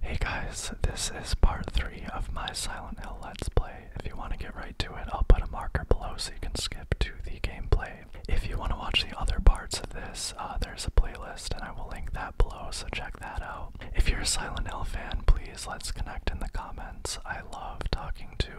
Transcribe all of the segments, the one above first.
Hey guys, this is part 3 of my Silent Hill Let's Play. If you want to get right to it, I'll put a marker below so you can skip to the gameplay. If you want to watch the other parts of this, uh, there's a playlist and I will link that below, so check that out. If you're a Silent Hill fan, please let's connect in the comments. I love talking to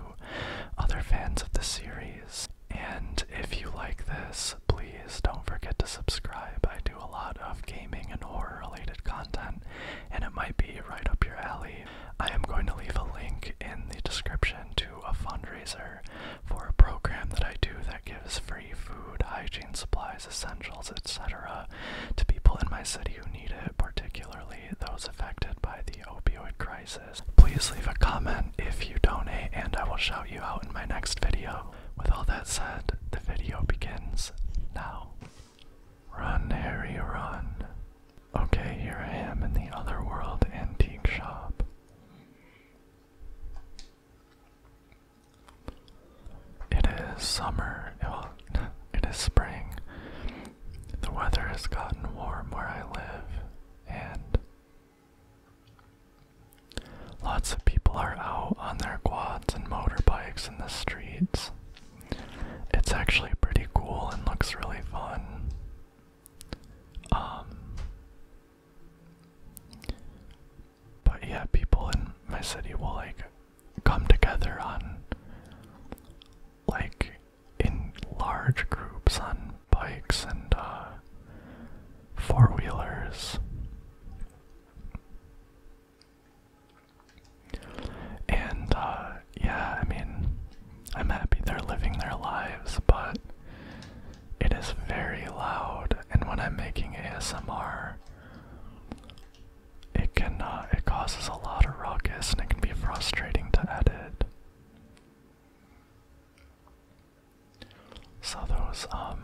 other fans of the series. And if you like this, please don't forget to subscribe. I do a lot of gaming and horror related content, and it might be right up your alley. I am going to leave a link in the description to a fundraiser for a program that I do that gives free food, hygiene supplies, essentials, etc. to people in my city who need it, particularly those affected by the opioid crisis. Please leave a comment if you donate, and I will shout you out in my next video. With all that said, the video begins now. Run, Harry, run. Okay, here I am in the Otherworld antique shop. It is summer. Well, it is spring. The weather has gotten warm where I live, and Lots of people are out on their quads and motorbikes in the streets. It's actually pretty cool and looks really fun. Um, but yeah, people in my city will like come together on like in large groups on bikes and uh, four wheelers. And uh, yeah, I mean, I'm happy they're living their lives, but it is very loud, and when I'm making ASMR, it can uh, it causes a lot of ruckus, and it can be frustrating to edit. So those um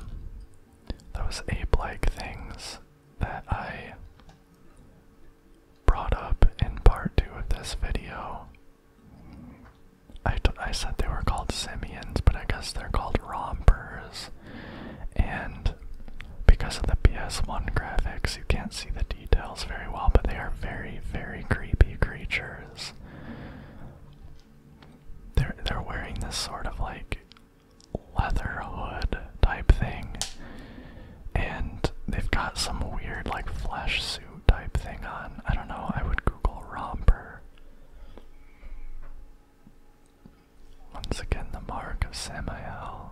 those ape-like things that I brought up in part two of this video. I said they were called simians, but I guess they're called rompers. And because of the PS1 graphics, you can't see the details very well, but they are very, very creepy creatures. They're, they're wearing this sort of like leather hood type thing. And they've got some weird, like, flesh suit type thing on. I don't know, I would Google romper. Once again, the mark of Samuel.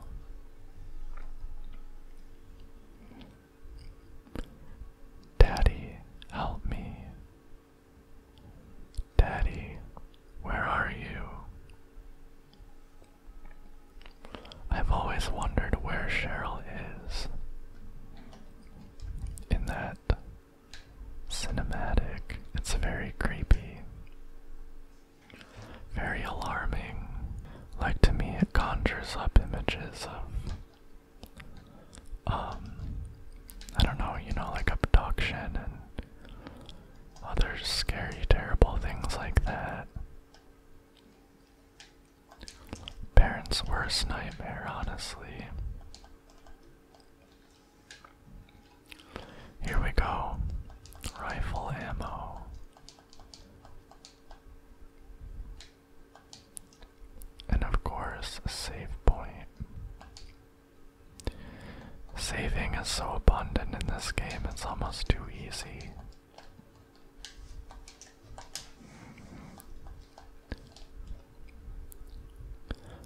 Daddy, help me. Daddy, where are you? I've always wondered where Cheryl is. In that cinematic, it's very creepy, very alarming. Like to me, it conjures up images of. Um, I don't know, you know, like abduction and other scary, terrible things like that. Parents' worst nightmare, honestly. Here we go. Rifle ammo. And of course, save point. Saving is so abundant in this game, it's almost too easy.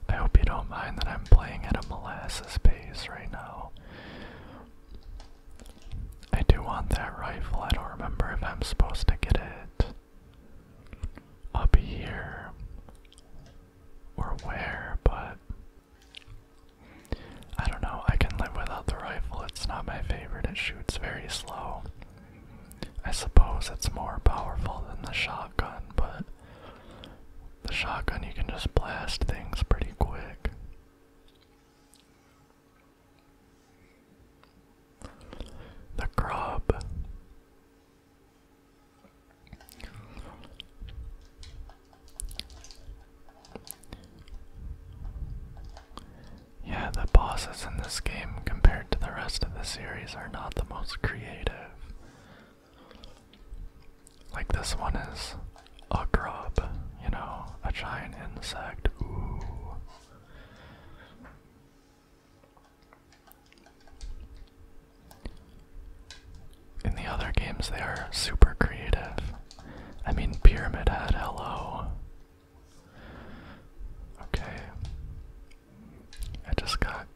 I hope you don't mind that I'm playing at a molasses pace right now. I do want that rifle, I don't remember if I'm supposed to get it. Up here or where, but I don't know. I can live without the rifle. It's not my favorite. It shoots very slow. I suppose it's more powerful than the shotgun, but the shotgun you can just blast things pretty quick. The grub. Yeah, the bosses in this game compared to the rest of the series are not the most creative. Like this one is a grub, you know, a giant insect. Ooh. In the other games, they are super creative. I mean, Pyramid Head, hello. Okay. I just got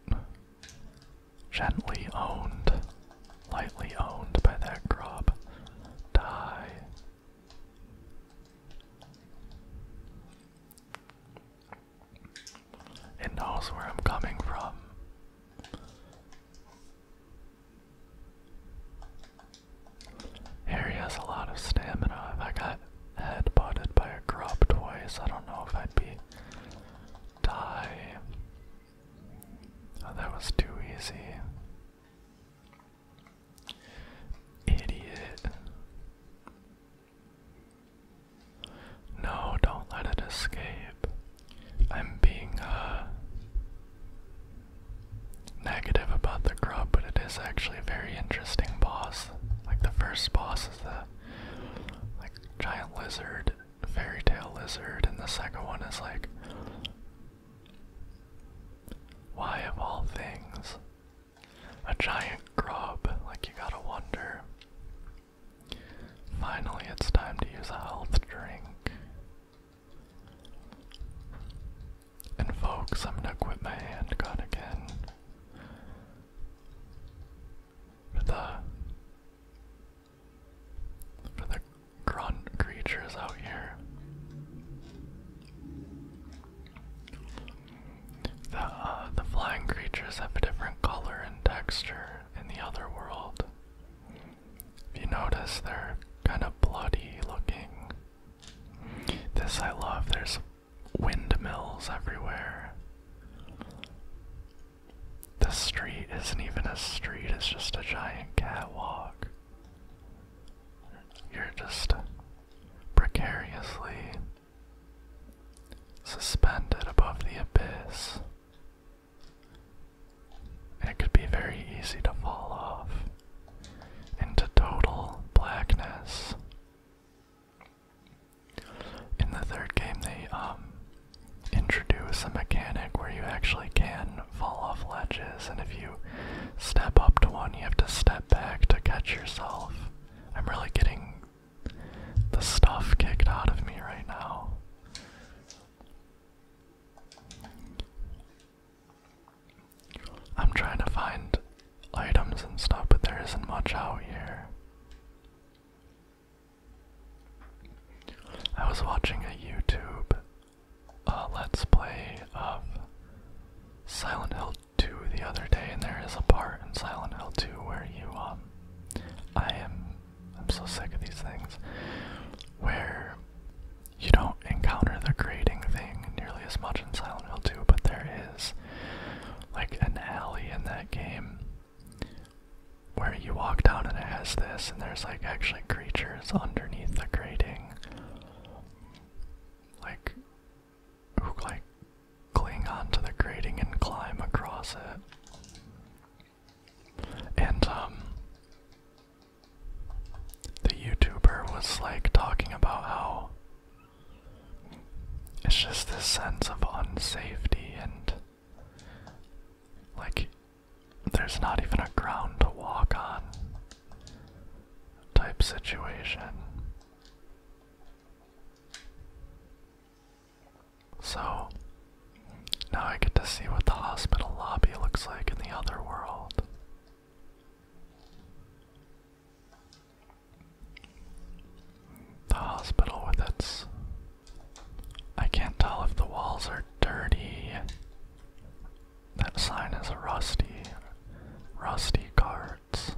gently owned, lightly owned by that grub. Die. It knows where I'm coming from. Harry has a lot of stamina. I got headbutted by a grub twice, I don't know if I'd be die. Oh, that was too easy. Idiot. No, don't let it escape. I'm being uh negative about the grub, but it is actually a very interesting boss. Like the first boss is the like giant lizard, fairy tale lizard, and the second one is like why of all things? A giant grub, like you gotta wonder. Finally, it's time to use a health drink. And folks, I'm gonna quit my handgun again. For the for the grunt creatures out here. The uh, the flying creatures have a different color and texture in the other world. If you notice, they're kind of bloody looking. This I love. There's windmills everywhere. This street isn't even a street, it's just a giant catwalk. You're just precariously suspended above the abyss. It could be very easy to fall off into total blackness. In the third game, they um, introduce a mechanic where you actually can fall off ledges, and if you step up to one, you have to step back to catch yourself. I'm really getting the stuff kicked out of me right now. I'm trying to find items and stuff, but there isn't much out here. I was watching a YouTube uh, Let's Play of Silent Hill 2 the other day, and there is a part in Silent Hill 2 where you, um, I am I'm so sick of these things where you don't encounter the grating thing nearly as much in Silent Hill 2, but there is like an alley in that game where you walk down and it has this, and there's like actually creatures underneath the grating, like who like cling onto the grating and climb across it. And um, the YouTuber was like talking about how it's just this sense of unsafety and like there's not even a ground to walk on type situation. So, now I get to see what the hospital lobby looks like in the other world. The hospital with its. I can't tell if the walls are dirty. That sign is rusty. Rusty cards.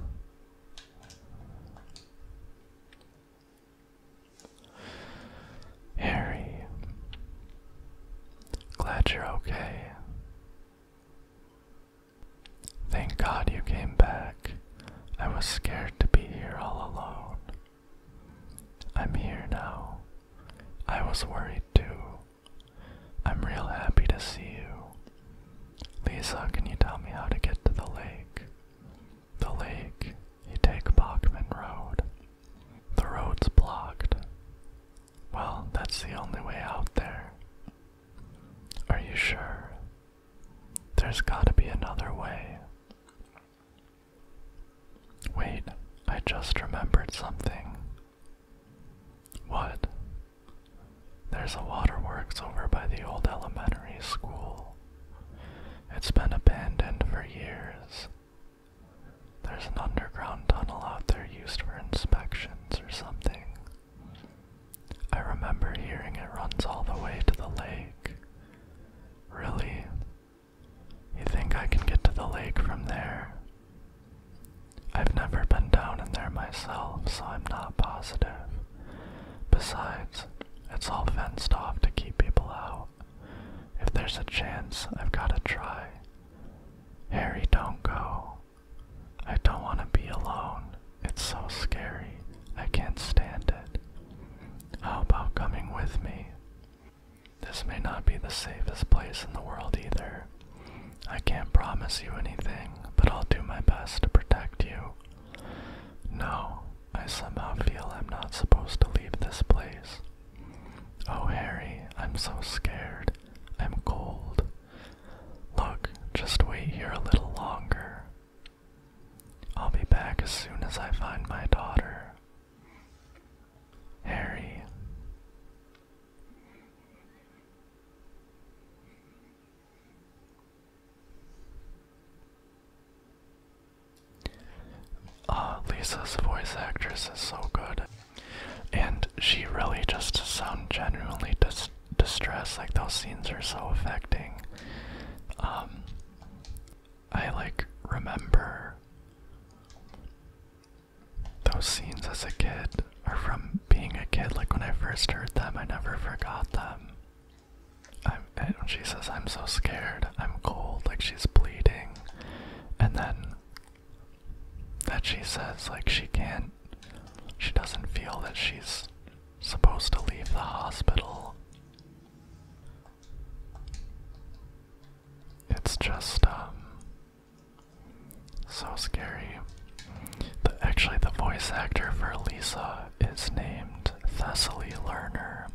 Harry, glad you're okay. Thank God you came back. I was scared to be here all alone. I'm here now. I was worried too. I'm real happy to see you. Lisa, can you tell me how to get to the lake? The lake you take Bachman Road. The road's blocked. Well, that's the only way out there. Are you sure? There's gotta be another way. Wait, I just remembered something. What? There's a waterworks over by the old elementary school. It's been abandoned for years, there's an underground tunnel out there used for inspections or something. I remember hearing it runs all the way to the lake. Really? You think I can get to the lake from there? I've never been down in there myself, so I'm not positive. Besides, it's all fenced off to keep people out. If there's a chance, I've gotta try. Harry, don't go. I don't wanna be alone. It's so scary. I can't stand it. How about coming with me? This may not be the safest place in the world either. I can't promise you anything, but I'll do my best to protect you. No, I somehow feel I'm not supposed to leave this place. Oh, Harry, I'm so scared. I'm cold. Look, just wait here a little longer. I'll be back as soon as I find my daughter. Harry. Ah, Lisa's voice actress is so good, and she really just sounds genuinely distressed. Like those scenes are so affecting. Um, I like remember those scenes as a kid, or from being a kid. Like when I first heard them, I never forgot them. I'm, and she says, I'm so scared, I'm cold, like she's bleeding and then that she says like she can't she doesn't feel that she's supposed to leave the hospital. It's just um so scary. The, actually, the voice actor for Lisa is named Thessaly Lerner,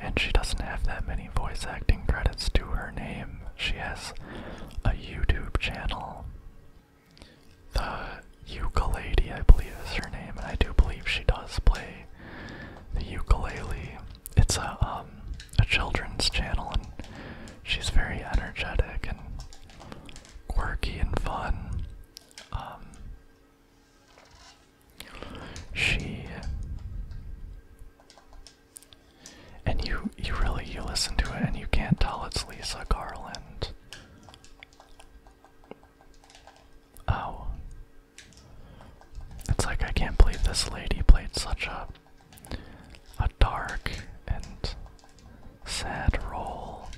and she doesn't have that many voice acting credits to her name. She has a YouTube channel. The Ukulele, I believe, is her name, and I do believe she does play the ukulele. It's a um a children's channel, and she's very energetic and quirky and fun. Um, she and you you really you listen to it and you can't tell it's Lisa Garland. Oh. It's like I can't believe this lady played such a a dark and sad role.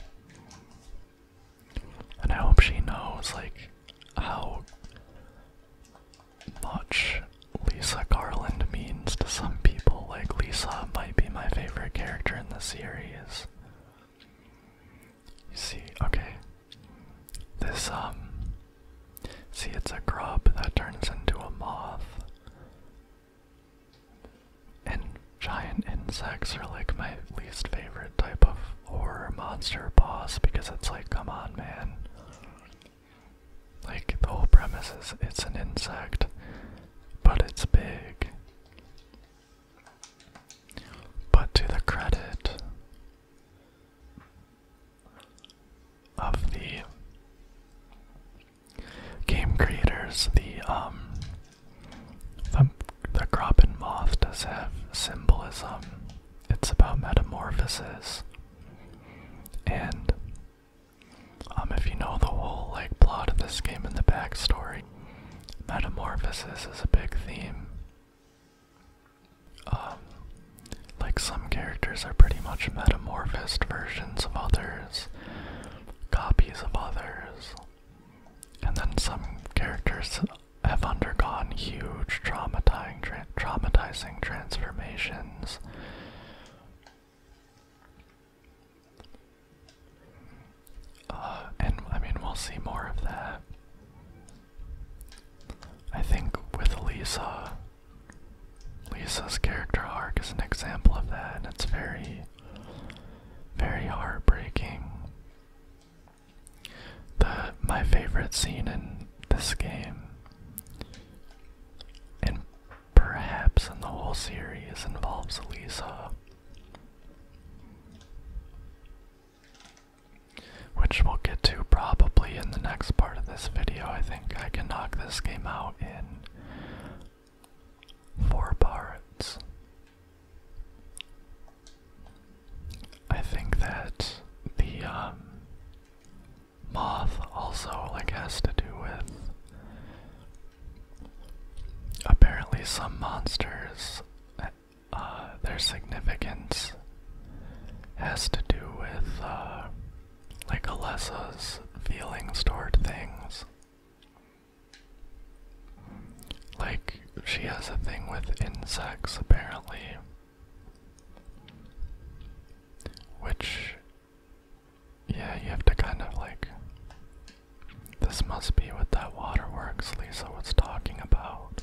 And I hope she knows like how much Lisa Garland means to some people. Like, Lisa might be my favorite character in the series. You see, okay. This, um. See, it's a grub that turns into a moth. And giant insects are like my least favorite type of horror monster boss because it's like, come on, man. Like, the whole premise is it's an insect, but it's big. But to the credit of the game creators, the um the, the crop and moth does have symbolism it's about metamorphosis. And um, if you know the whole like plot of this game and the backstory, metamorphosis is a big theme. Um, like some characters are pretty much metamorphosed versions of others, copies of others, and then some characters have undergone huge traumatizing traumatizing transformations. Uh, and I mean, we'll see more of that. I think with Lisa, Lisa's character arc is an example of that, and it's very, very heartbreaking. The my favorite scene in this game and perhaps in the whole series involves Elisa. Which we'll get to probably in the next part of this video. I think I can knock this game out in four parts. I think that the um, moth also like has to do with apparently some monsters uh, their significance has to do with uh, like Alessa's feelings toward things. Like she has a thing with insects apparently. Which, yeah, you have to kind of like. This must be what that waterworks Lisa was talking about.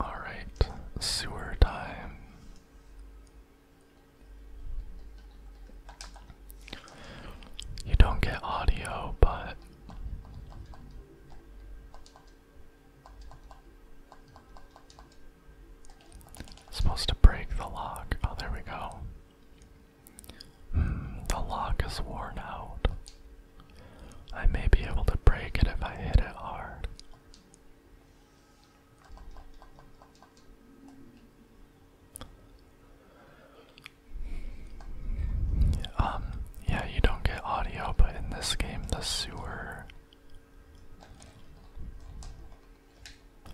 Alright, sewer time. You don't get audio, but Supposed to break the lock. Oh, there we go. Hmm, the lock is worn out. I may be able to break it if I hit it hard. Um, yeah, you don't get audio, but in this game, the sewer.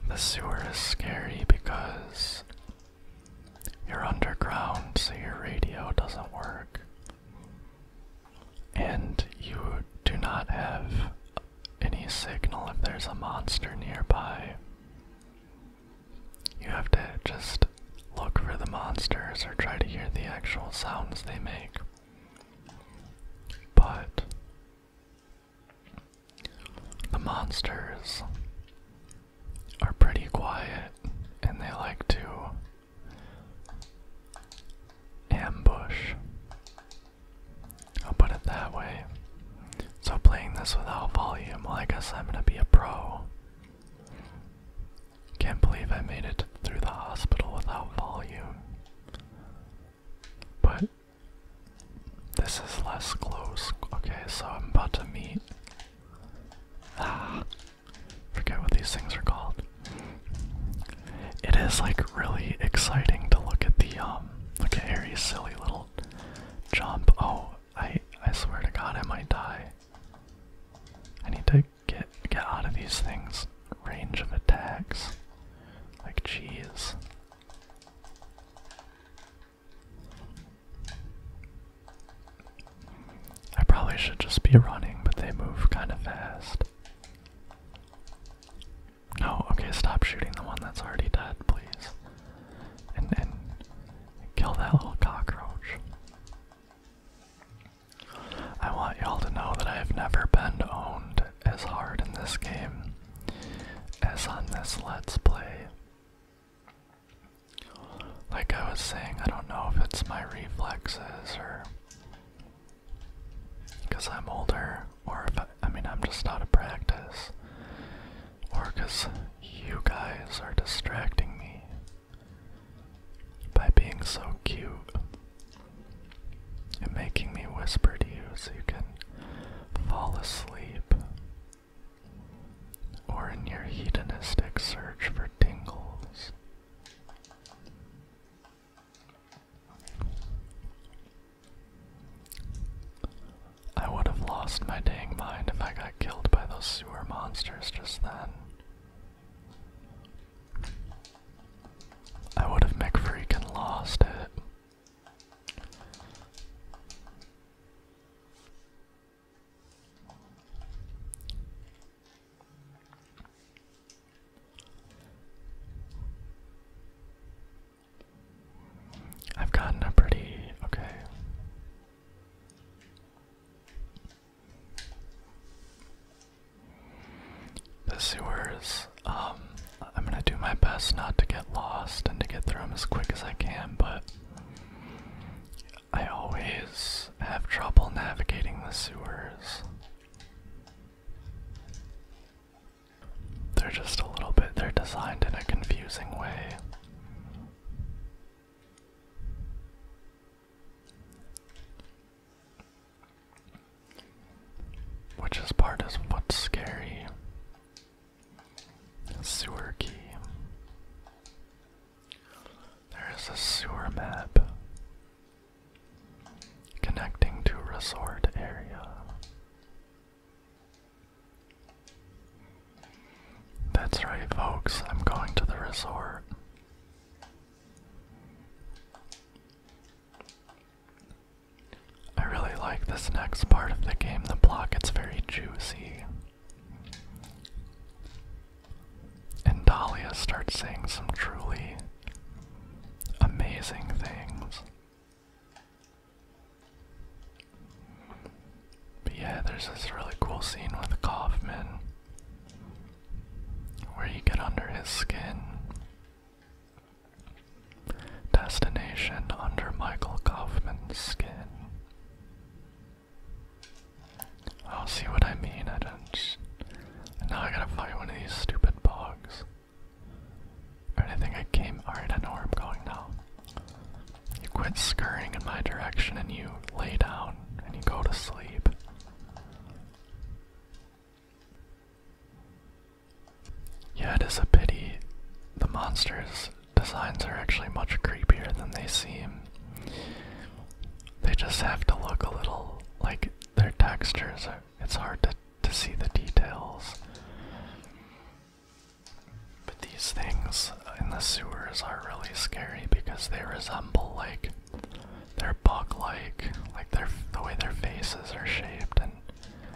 The sewer is scary because you're underground, so your radio doesn't work. And you do not have any signal if there's a monster nearby. You have to just look for the monsters or try to hear the actual sounds they make. But the monsters are pretty quiet and they like to ambush. I'll put it that way. So, playing this without volume, I guess I'm gonna be a pro. Can't believe I made it through the hospital without volume. But this is less close. Okay, so I'm about to meet. Ah, forget what these things are called. It is like really exciting to look at the um. Look at Harry's silly little jump. Oh, I I swear to God, I might die. I need to Get get out of these things. Range of attacks. Like jeez. I probably should just be running, but they move kind of fast. No, okay, stop shooting the one that's already dead, please. And and kill that little cockroach. I want y'all to know that I have never been owned as hard in this game as on this Let's Play. Like I was saying, I don't know if it's my reflexes or because I'm older, or if I, I mean, I'm just out of practice, or because you guys are distracting me by being so cute and making me whisper to you so you can fall asleep. Or in your hedonistic search for tingles. I would have lost my dang mind if I got killed by those sewer monsters just then. I would have McFreakin' lost it. I've gotten pretty okay. The sewers. Um, I'm gonna do my best not to get lost and to get through them as quick as I can, but I always have trouble navigating the sewers. They're just a little bit, they're designed in a confusing way. Which is part is what's scary. Sewer key. There is a sewer map connecting to resort area. That's right, folks. I'm going to the resort. I really like this next part of the game, the block, it's very juicy. And Dahlia starts saying some truly amazing things. But yeah, there's this really cool scene with Kaufman where you get under his skin. Destination under Michael Kaufman's skin. I'll oh, see what I mean. I don't. now I gotta fight one of these stupid bugs. Alright, I think I came. Alright, I know where I'm going now. You quit scurrying in my direction and you lay down and you go to sleep. Yeah, it is a pity. The monsters' designs are actually much creepier than they seem. They just have to look a little like their textures. Are, it's hard to, to see the details. But these things in the sewers are really scary because they resemble like they're bug-like, like their the way their faces are shaped. And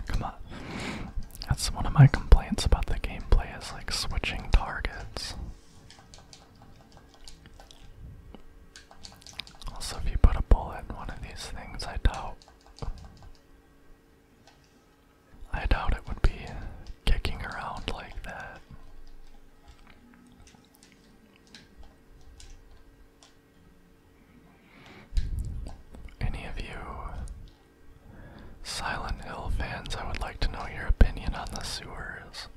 come on, that's one of my complaints about the gameplay is like switching targets. Also, if you put a bullet in one of these things, I doubt. I doubt it would be kicking around like that. Any of you Silent Hill fans, I would like to know your opinion on the sewers.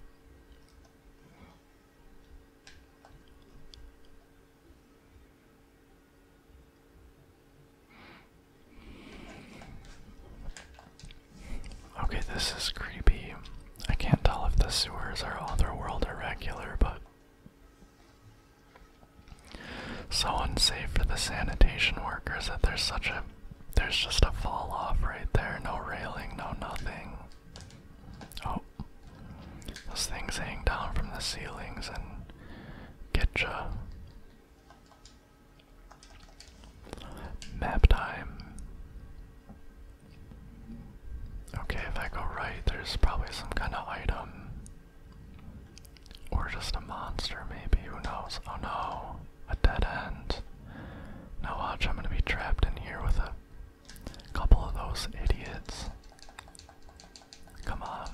Okay, this is creepy. I can't tell if the sewers are otherworld or regular, but. So unsafe for the sanitation workers that there's such a. There's just a fall off right there. No railing, no nothing. Oh. Those things hang down from the ceilings and get ya. Map time. Okay, if I go right, there's probably some kind of item. Or just a monster, maybe. Who knows? Oh no, a dead end. No watch, I'm gonna be trapped in here with a couple of those idiots. Come on.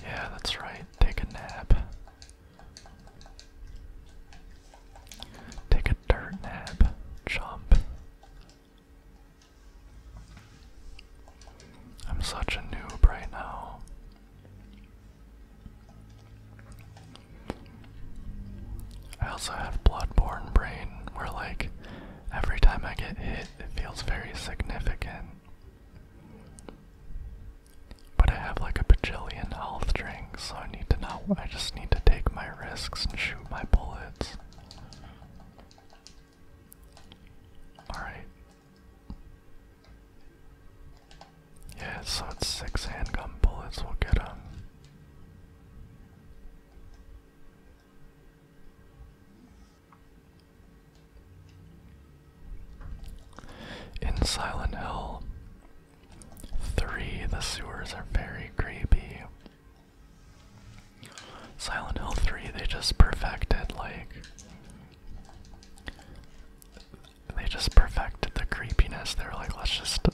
Yeah, that's right. Take a nap. Take a dirt nap, chump. I'm such a noob right now. I also have Bloodborne Brain, where, like, every time I get hit, it feels very significant. But I have like a bajillion health drinks, so I need to know. I just need to take my risks and shoot my bullets. Alright. Yeah, so it's six handgun bullets, we'll get them. In Silent Hill 3, the sewers are very creepy. Silent Hill 3, they just perfected, like. They just perfected the creepiness. They were like, let's just.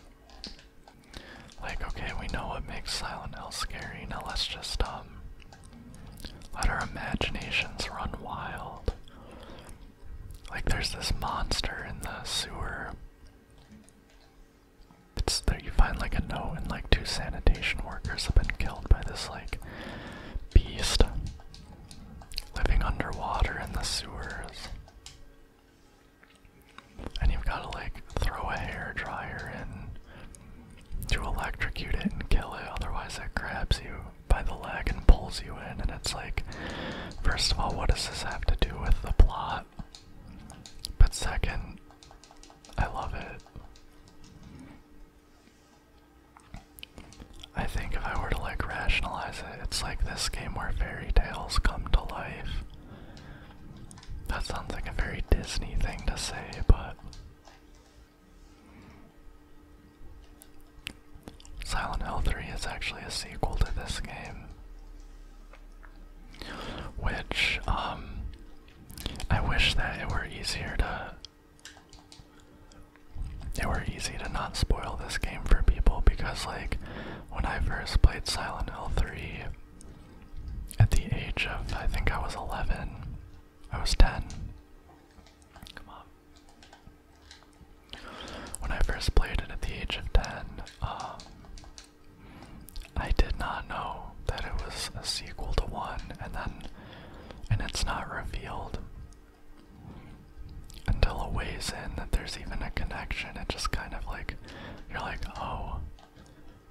Like, okay, we know what makes Silent Hill scary. Now let's just, um. Let our imaginations run wild. Like there's this monster in the sewer. It's there you find like a note and like two sanitation workers have been killed by this like beast living underwater in the sewers. And you've gotta like throw a hair dryer in to electrocute it and kill it, otherwise it grabs you by the leg and pulls you in, and it's like, first of all, what does this have to do with the plot? But second, I love it. I think if I were to like rationalize it, it's like this game where fairy tales come to life. That sounds like a very Disney thing to say, but Silent l 3 is actually a sequel to this game. Which, um, I wish that it were easier to. It were easy to not spoil this game for people because, like, when I first played Silent l 3, at the age of, I think I was 11, I was 10. When I first played it at the age of 10, um, I did not know that it was a sequel to 1 and then and it's not revealed until a ways in that there's even a connection. It just kind of like you're like, "Oh,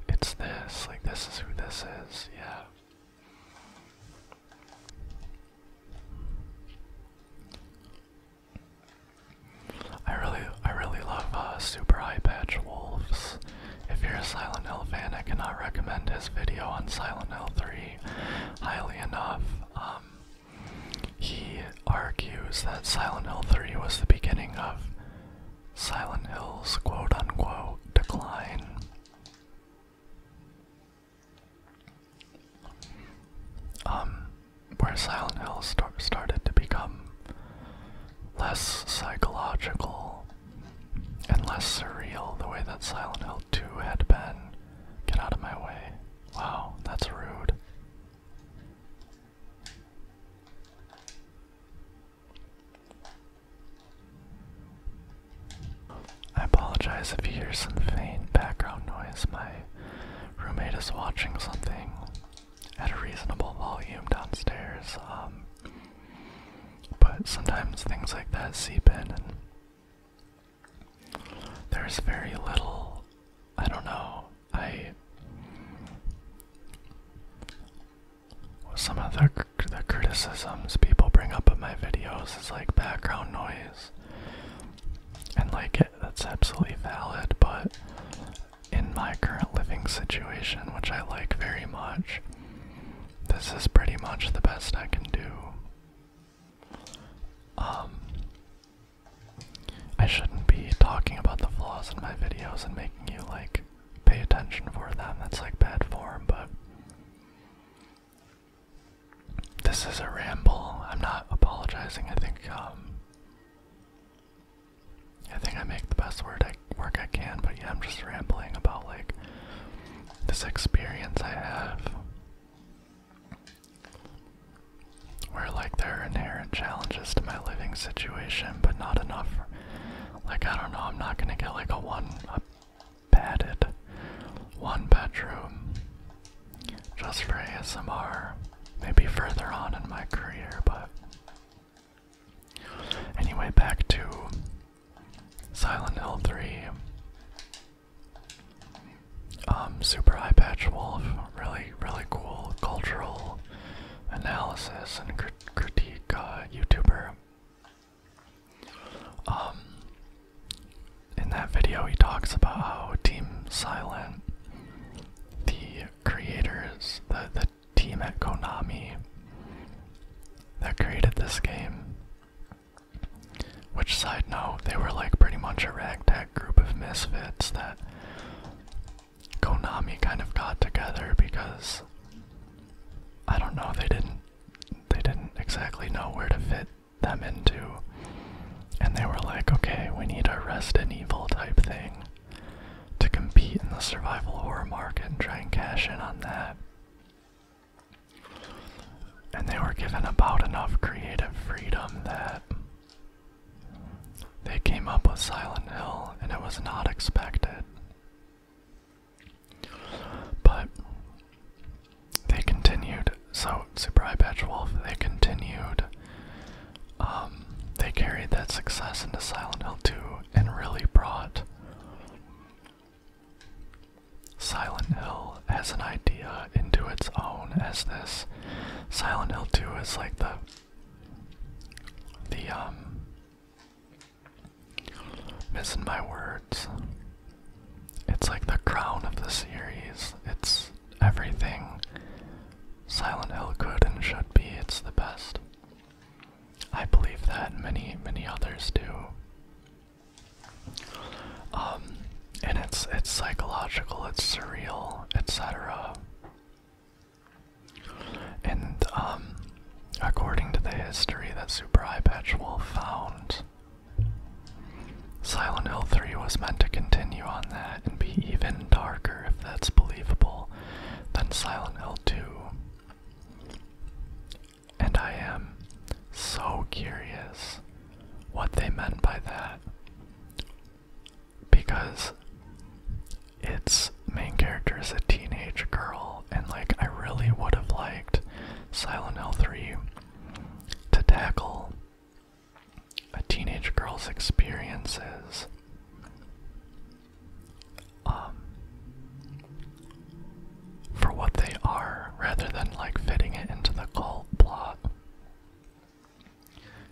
it's this. Like this is who this is." Yeah. I really, I really love uh, Super High Patch Wolves. If you're a Silent Hill fan, I cannot recommend his video on Silent Hill 3 highly enough. Um, he argues that Silent Hill 3 was the beginning of Silent Hill's quote unquote decline. Um, where Silent Hill started to become less psychological and less surreal, the way that Silent Hill 2 had been. Get out of my way. Wow, that's rude. I apologize if you hear some faint background noise. My roommate is watching something at a reasonable volume downstairs. Um, but sometimes things like that seep in, and there's very little. I don't know. I. Some of the, the criticisms people bring up in my videos is like background noise. And like it, that's absolutely valid, but in my current living situation, which I like very much, this is pretty much the best I can do. Um I shouldn't be talking about the flaws in my videos and making you like pay attention for them. That's like bad form, but this is a ramble. I'm not apologizing. I think um, I think I make the best word I work I can, but yeah, I'm just rambling about like this experience I have where like there are inherent challenges to my living situation, but not enough like I don't know, I'm not gonna get like a one padded one bedroom just for ASMR, maybe further on in my career, but. Anyway, back to Silent Hill 3. Um, super High Patch Wolf, really, really cool cultural analysis and critique uh, YouTuber. Um, in that video, he talks about how Team Silent, the creators, the, the team at Konami that created this game, which, side note, they were like pretty much a ragtag group of misfits that Konami kind of got together because I don't know, they didn't. They didn't exactly know where to fit them into. And they were like, okay, we need a Resident Evil type thing to compete in the survival horror market and try and cash in on that. And they were given about enough creative freedom that they came up with Silent Hill, and it was not expected. But they continued. So Super High Patch Wolf, they continued. Um, they carried that success into Silent Hill 2 and really brought Silent Hill as an idea into its own as this. Silent Hill 2 is like the the um missing my words. It's like the crown of the series. It's everything Silent Hill could and should be. It's the best. I believe that many, many others do. Um, and it's it's psychological, it's surreal, etc. And um, according to the history that Super Eye Patch Wolf found, Silent L 3 was meant to continue on that and be even darker, if that's believable, than Silent L 2. And I am so curious what they meant by that. Because its main character is a teenage girl, and like I really would have liked Silent L 3 to tackle a teenage girl's experiences. Um, for what they are, rather than like fitting it into the cult plot.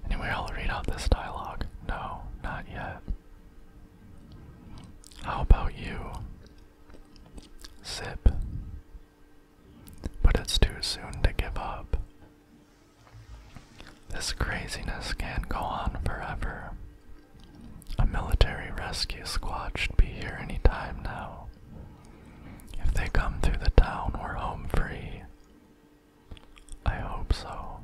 Anyway, I'll read out this dialogue. No, not yet. How about you? Zip. But it's too soon to give up. This craziness can't go on forever. A military rescue squad should be here any time now. If they come through the town, we're home free. I hope so.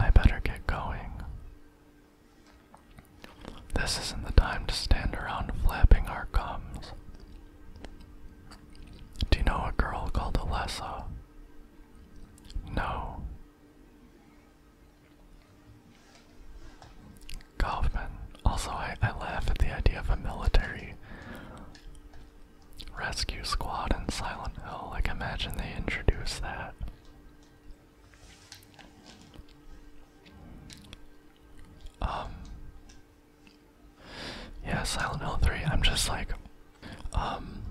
I better get going. This isn't the time to stand around flapping our gums. Do you know a girl called Alessa? No. Kaufman. Also, I, I laugh at the idea of a military rescue squad in Silent Hill. Like, imagine they introduce that. Um, yeah, Silent L 3, I'm just like, um,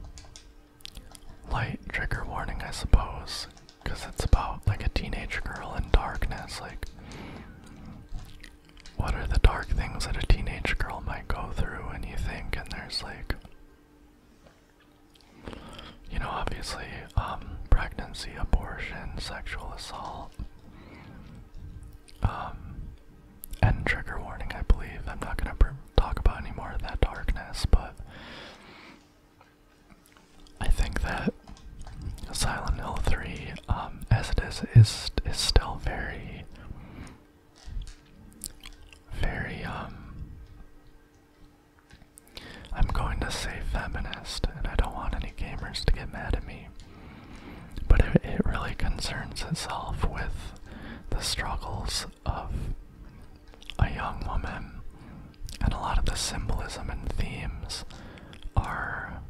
light trigger warning, I suppose, because it's about like a teenage girl in darkness. Like, what are the dark things that a teenage girl might go through, and you think, and there's like, you know, obviously, um, pregnancy, abortion, sexual assault, um, and trigger warning, I believe. I'm not gonna talk about any more of that darkness, but I think that Silent Hill 3, um, as it is, is is still very, very um. I'm going to say feminist, and I don't want any gamers to get mad at me. But it, really concerns itself with the struggles of a young woman, and a lot of the symbolism and themes are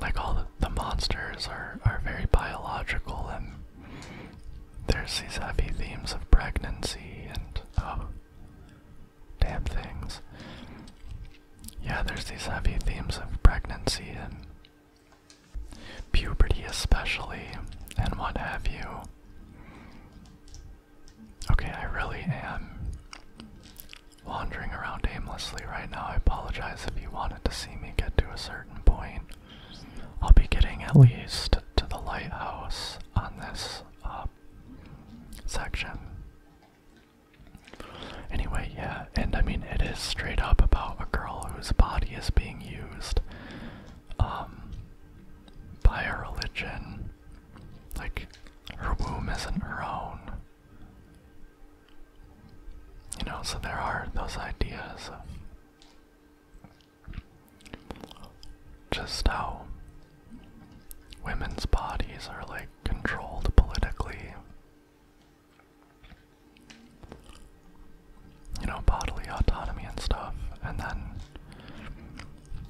like all the, monsters are, are very biological, and there's these heavy themes of pregnancy and. Oh, damn things. Yeah, there's these heavy themes of pregnancy and puberty, especially, and what have you. Okay, I really am wandering around aimlessly right now. I apologize if you wanted to see me get to a certain point. I'll be getting at least to the lighthouse on this uh, section. Anyway, yeah, and I mean, it is straight up about a girl whose body is being used um, by a religion. Like, her womb isn't her own. You know, so there are those ideas of just how women's bodies are like controlled politically. You know, bodily autonomy and stuff, and then,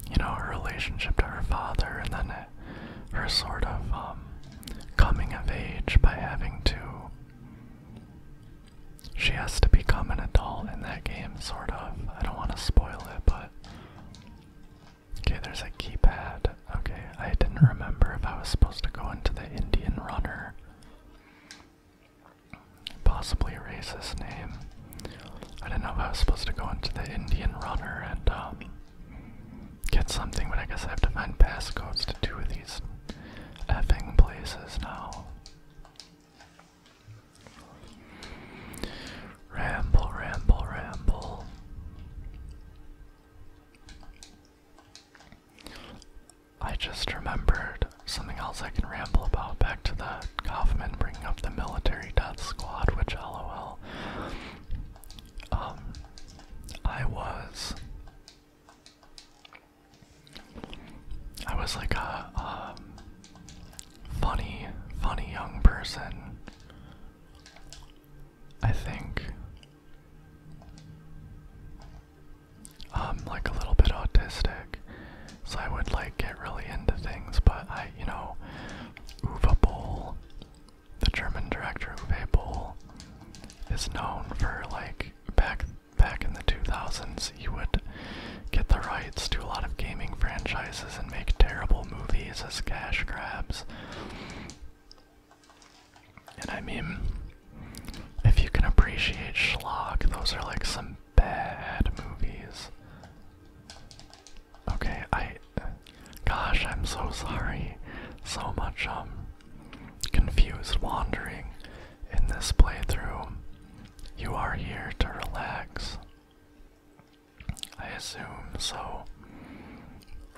you know, her relationship to her father, and then her sort of um, coming of age by having to. She has to become an adult in that game, sort of. I don't want to spoil it, but Okay, there's a keypad. Okay, I didn't remember if I was supposed to go into the Indian runner. Possibly erase his name. I didn't know if I was supposed to go into the Indian runner and um, get something, but I guess I have to find passcodes to two of these effing places now. Ramble, ramble, ramble. I just remembered something else I can ramble about. Back to that Kaufman bringing up the military death squad, which lol. Um, I was. I was like a um, funny, funny young person I think. I'm like a little bit autistic, so I would like get really into things, but I, you know, Uwe Boll, the German director Uwe Boll, is known for like back back in the 2000s he would get the rights to a lot of gaming franchises and make terrible movies as cash grabs and I mean, if you can appreciate schlock, those are like some bad movies. Okay, I. Gosh, I'm so sorry. So much, um, confused wandering in this playthrough. You are here to relax. I assume so.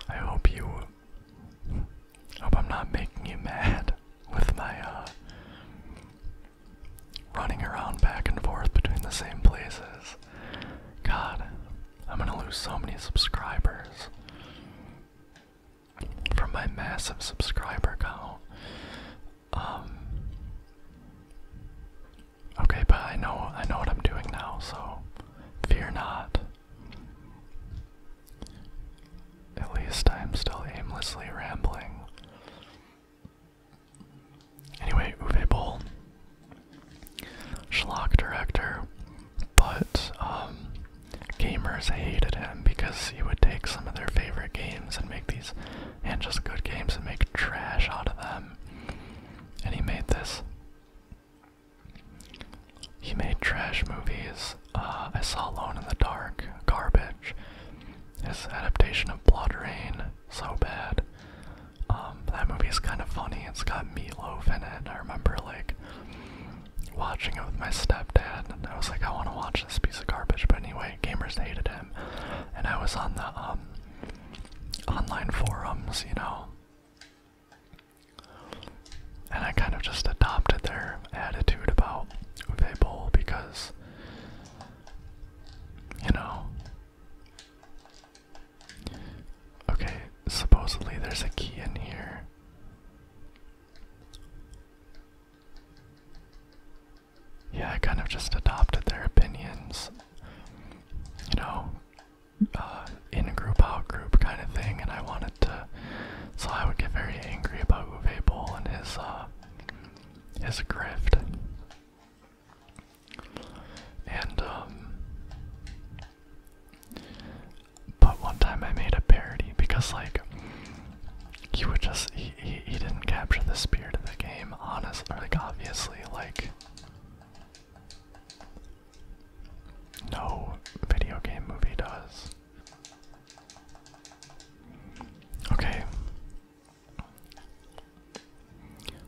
I hope you hope I'm not making you mad with my uh running around back and forth between the same places. God, I'm gonna lose so many subscribers from my massive subscriber count. Um, Okay, but I know I know what I'm doing now, so fear not. At least I'm still aimlessly rambling. Anyway, Uwe Boll, schlock director, but um, gamers hated him because he would take some of their favorite games and make these, and just good games, and make trash out of them. And he made this he made trash movies. Uh, I saw Alone in the Dark, Garbage. His adaptation of Blood Rain, so bad. Um, that movie is kind of funny. It's got meatloaf in it. I remember like watching it with my stepdad, and I was like, I want to watch this piece of garbage. But anyway, gamers hated him, and I was on the um, online forums, you know, and I kind of just adopted their attitude about Uwe Boll because, you know, okay, supposedly there's a key in here. Yeah, I kind of just adopted their opinions. You know, uh, in a group out group kind of thing, and I wanted to. So I would get very angry about Uwe Boll and his uh, his grift. And um, but one time I made a parody because like he would just he he, didn't capture the spirit of the game, honestly. like obviously like no video game movie does. Okay.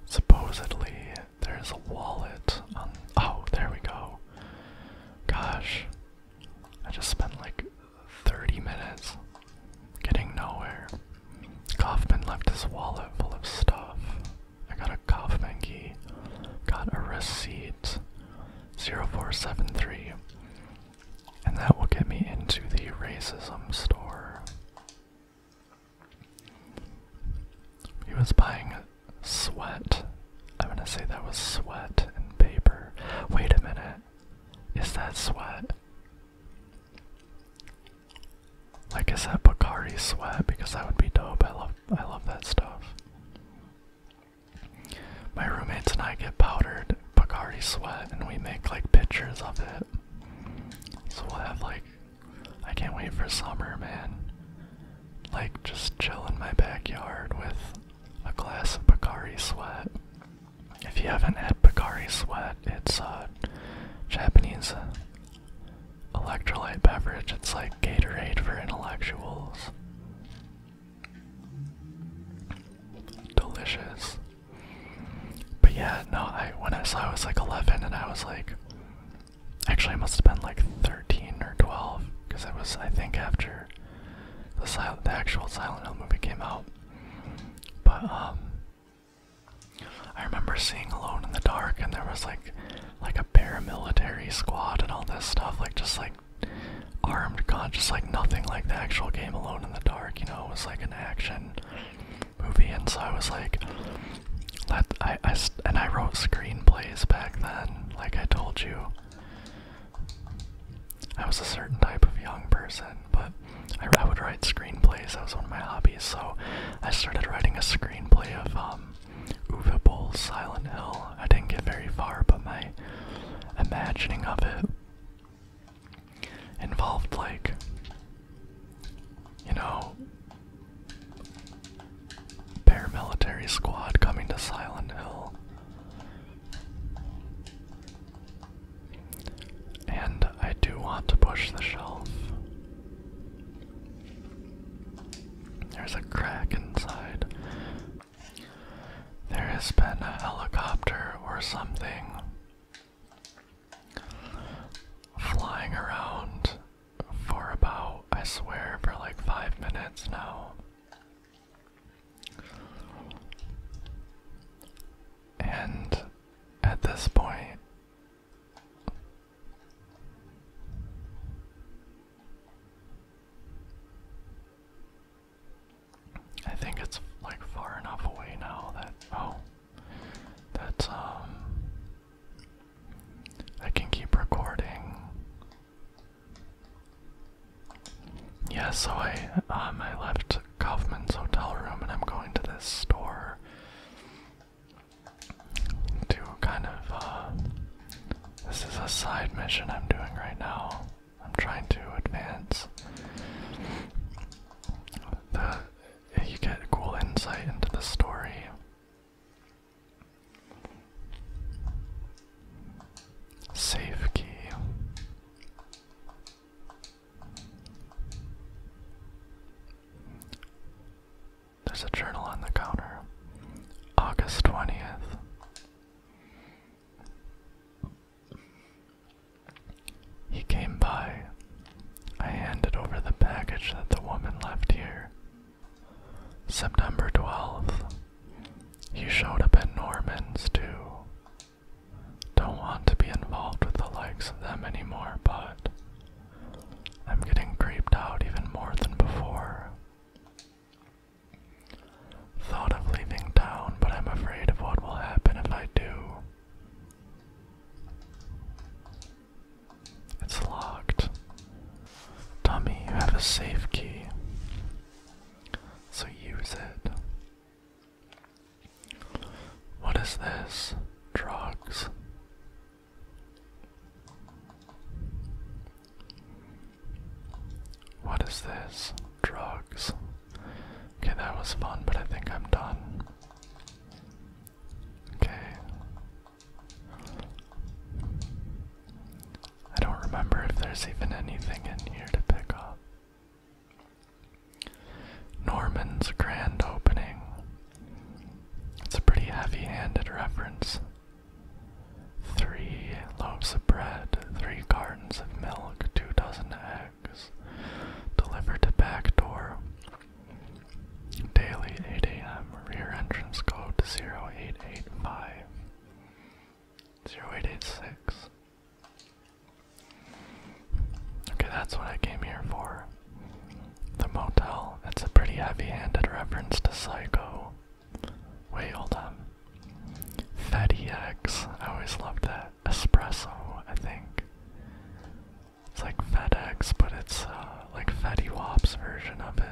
Supposedly there's a wallet Oh, there we go. Gosh. I just spent like 30 minutes getting nowhere. Kaufman left his wallet full of stuff. I got a Kaufman key. Got a receipt. 0473. And that will get me into the racism store. He was buying sweat. I'm gonna say that was sweat and paper. Wait a minute. Is that sweat? Like I said, Bakari Sweat because that would be dope. I love I love that stuff. My roommates and I get powdered Bacardi Sweat and we make like pictures of it. So we'll have like I can't wait for summer, man. Like just chill in my backyard with a glass of Bacardi Sweat. If you haven't had Bacardi Sweat, it's uh Japanese electrolyte beverage. It's like Gatorade for intellectuals. Delicious. But yeah, no, I when I saw it was like 11 and I was like actually I must have been like 13 or 12 because it was I think after the, sil the actual Silent Hill movie came out. But um I remember seeing Alone in the Dark, and there was like, like a paramilitary squad and all this stuff, like just like armed gun, just like nothing like the actual game Alone in the Dark. You know, it was like an action movie, and so I was like, let I, I and I wrote screenplays back then, like I told you. I was a certain type of young person, but I, would write screenplays. That was one of my hobbies, so I started writing a screenplay of um, Uva Bowl Silent Hill. I didn't get very far, but my imagining of it involved, like, you know, paramilitary squad coming to Silent Hill. And I do want to push the shelf. There's a crack inside. There has been a helicopter or something flying around for about, I swear, for like five minutes now. And at this point, I think it's like far enough away now that oh that's um I can keep recording. Yeah, so I um I left Kaufman's hotel room and I'm going to this store do kind of, uh, this is a side mission I'm doing right now. I'm trying to advance. you get cool insight into the story. Safe key. There's a journal on the counter. August 20th. He came by. I handed over the package that the woman left here. September 12th. He showed up at Norman's too. Don't want to be involved with the likes of them anymore, but I'm getting creeped out even more than before. Thought of leaving town, but I'm afraid of what will happen if I do. It's locked. Tommy, you have a safe key. So use it. What is this? Drugs. What is this? Drugs. Okay, that was fun, but I think I'm done. Okay. I don't remember if there's even anything in here to pick up. Norman's grand opening. It's a pretty heavy handed reference. Three loaves of bread, three cartons of milk, two dozen eggs, delivered to back door. Daily 8 a.m. Rear entrance code 0885 0886. Okay, that's what I came here for. The motel, it's a pretty heavy handed reference to Psycho. Way old. on. Fatty I always loved that. Espresso, I think. It's like FedEx, but it's uh, like Fatty Wop's version of it.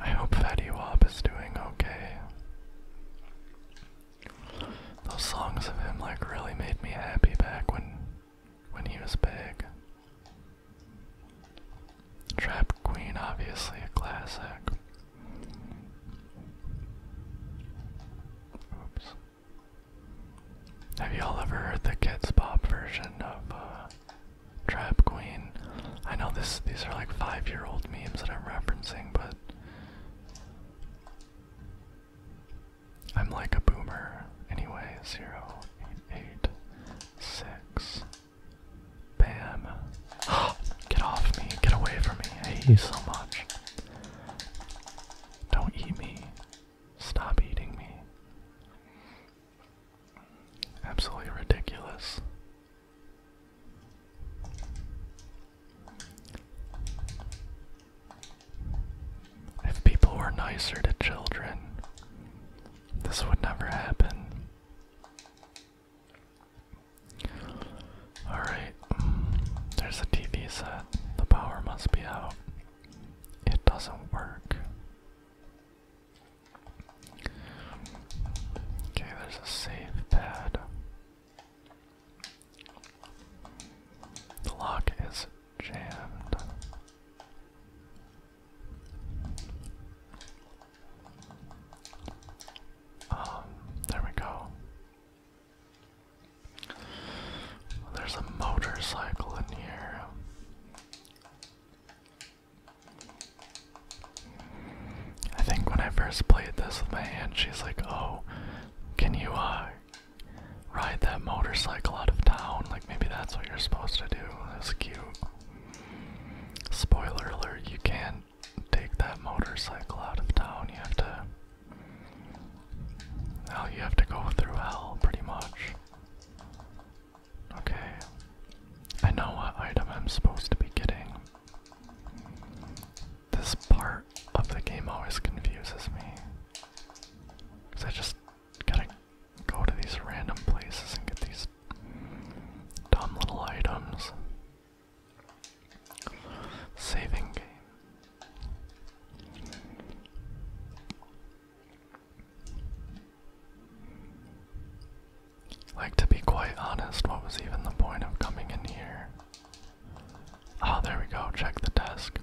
I hope Fatty Wop is doing okay. Those songs of him like really made me happy back when when he was big. Trap Queen, obviously a classic. Oops. Have y'all ever heard the Kids Pop version of uh, Trap Queen? I know this; these are like five-year-old memes that I'm referencing, but I'm like a boomer. Anyway, zero eight eight six. Bam. Get off me. Get away from me. I hate you so much. Don't eat me. Stop eating me. Absolutely ridiculous. If people were nicer to children, this would never happen. Alright, there's a TV set. The power must be out. It doesn't work. Okay, there's a safe pad. The lock is jammed. Um, there we go. There's a motorcycle in here. I think when I first played this with my hand, she's like, "Oh, can you uh ride that motorcycle out of town. Like, maybe that's what you're supposed to do. That's cute. Spoiler alert, you can't take that motorcycle out of town. You have to. Now you have to go through hell, pretty much. Okay. I know what item I'm supposed to be getting. This part of the game always confuses me. Because I just Gotta go to these random places and get these dumb little items. Saving game. Like, to be quite honest, what was even the point of coming in here? oh, there we go. Check the desk.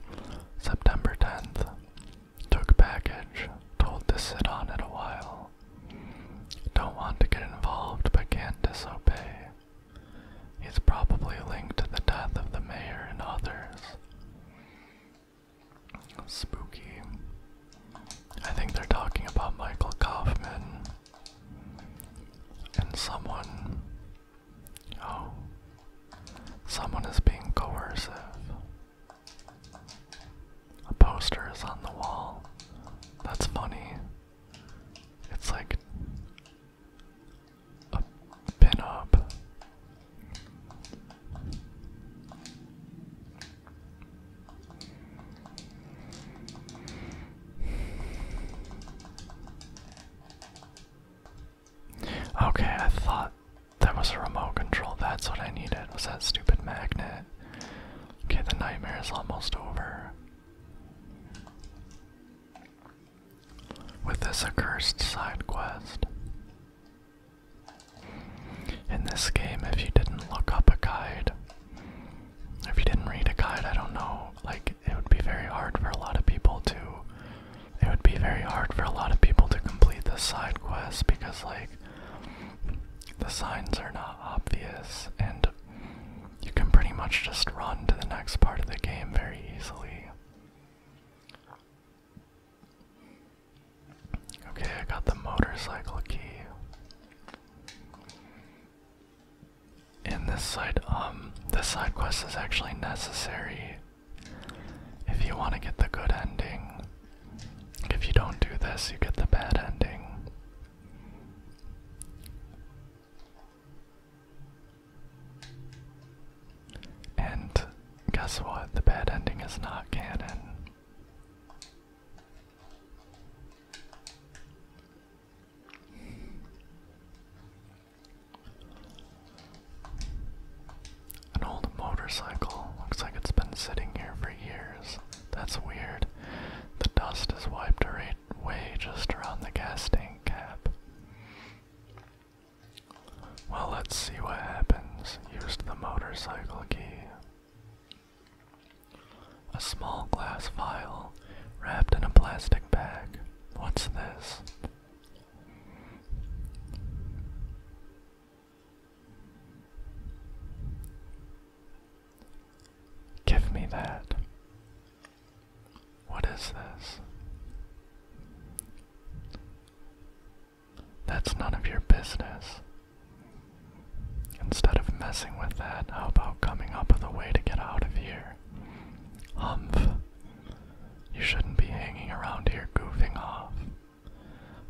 September 10th. Took package, told to sit on it a while. Don't want to get involved, but can't disobey. He's probably linked to the death of the mayor and others. Spooky. I think they're talking about Michael Kaufman. And someone. Oh, Someone is being coercive. A poster is on the wall. That's funny. It's like a pin Okay, I thought that was a remote control. That's what I needed, was that stupid magnet. Okay, the nightmare is almost over. With this accursed side quest. In this game, if you didn't look up a guide, if you didn't read a guide, I don't know, like, it would be very hard for a lot of people to it would be very hard for a lot of people to complete the side quest because like the signs are not obvious and you can pretty much just run to the next part of the game very easily. Okay, I got the motorcycle key. In this side, um, this side quest is actually necessary if you want to get the good ending, if you don't do this, you get the bad ending. And guess what? The bad ending is not canon. An old motorcycle. Looks like it's been sitting here for years. That's weird. The dust is wiped away just around the gas tank cap. Well, let's see what happens. Used the motorcycle key. A small glass vial wrapped in a plastic bag. What's this? Give me that. What is this? That's none of your business. Instead of messing with that, how about coming up with a way to get out of here? Humph. You shouldn't be hanging around here goofing off.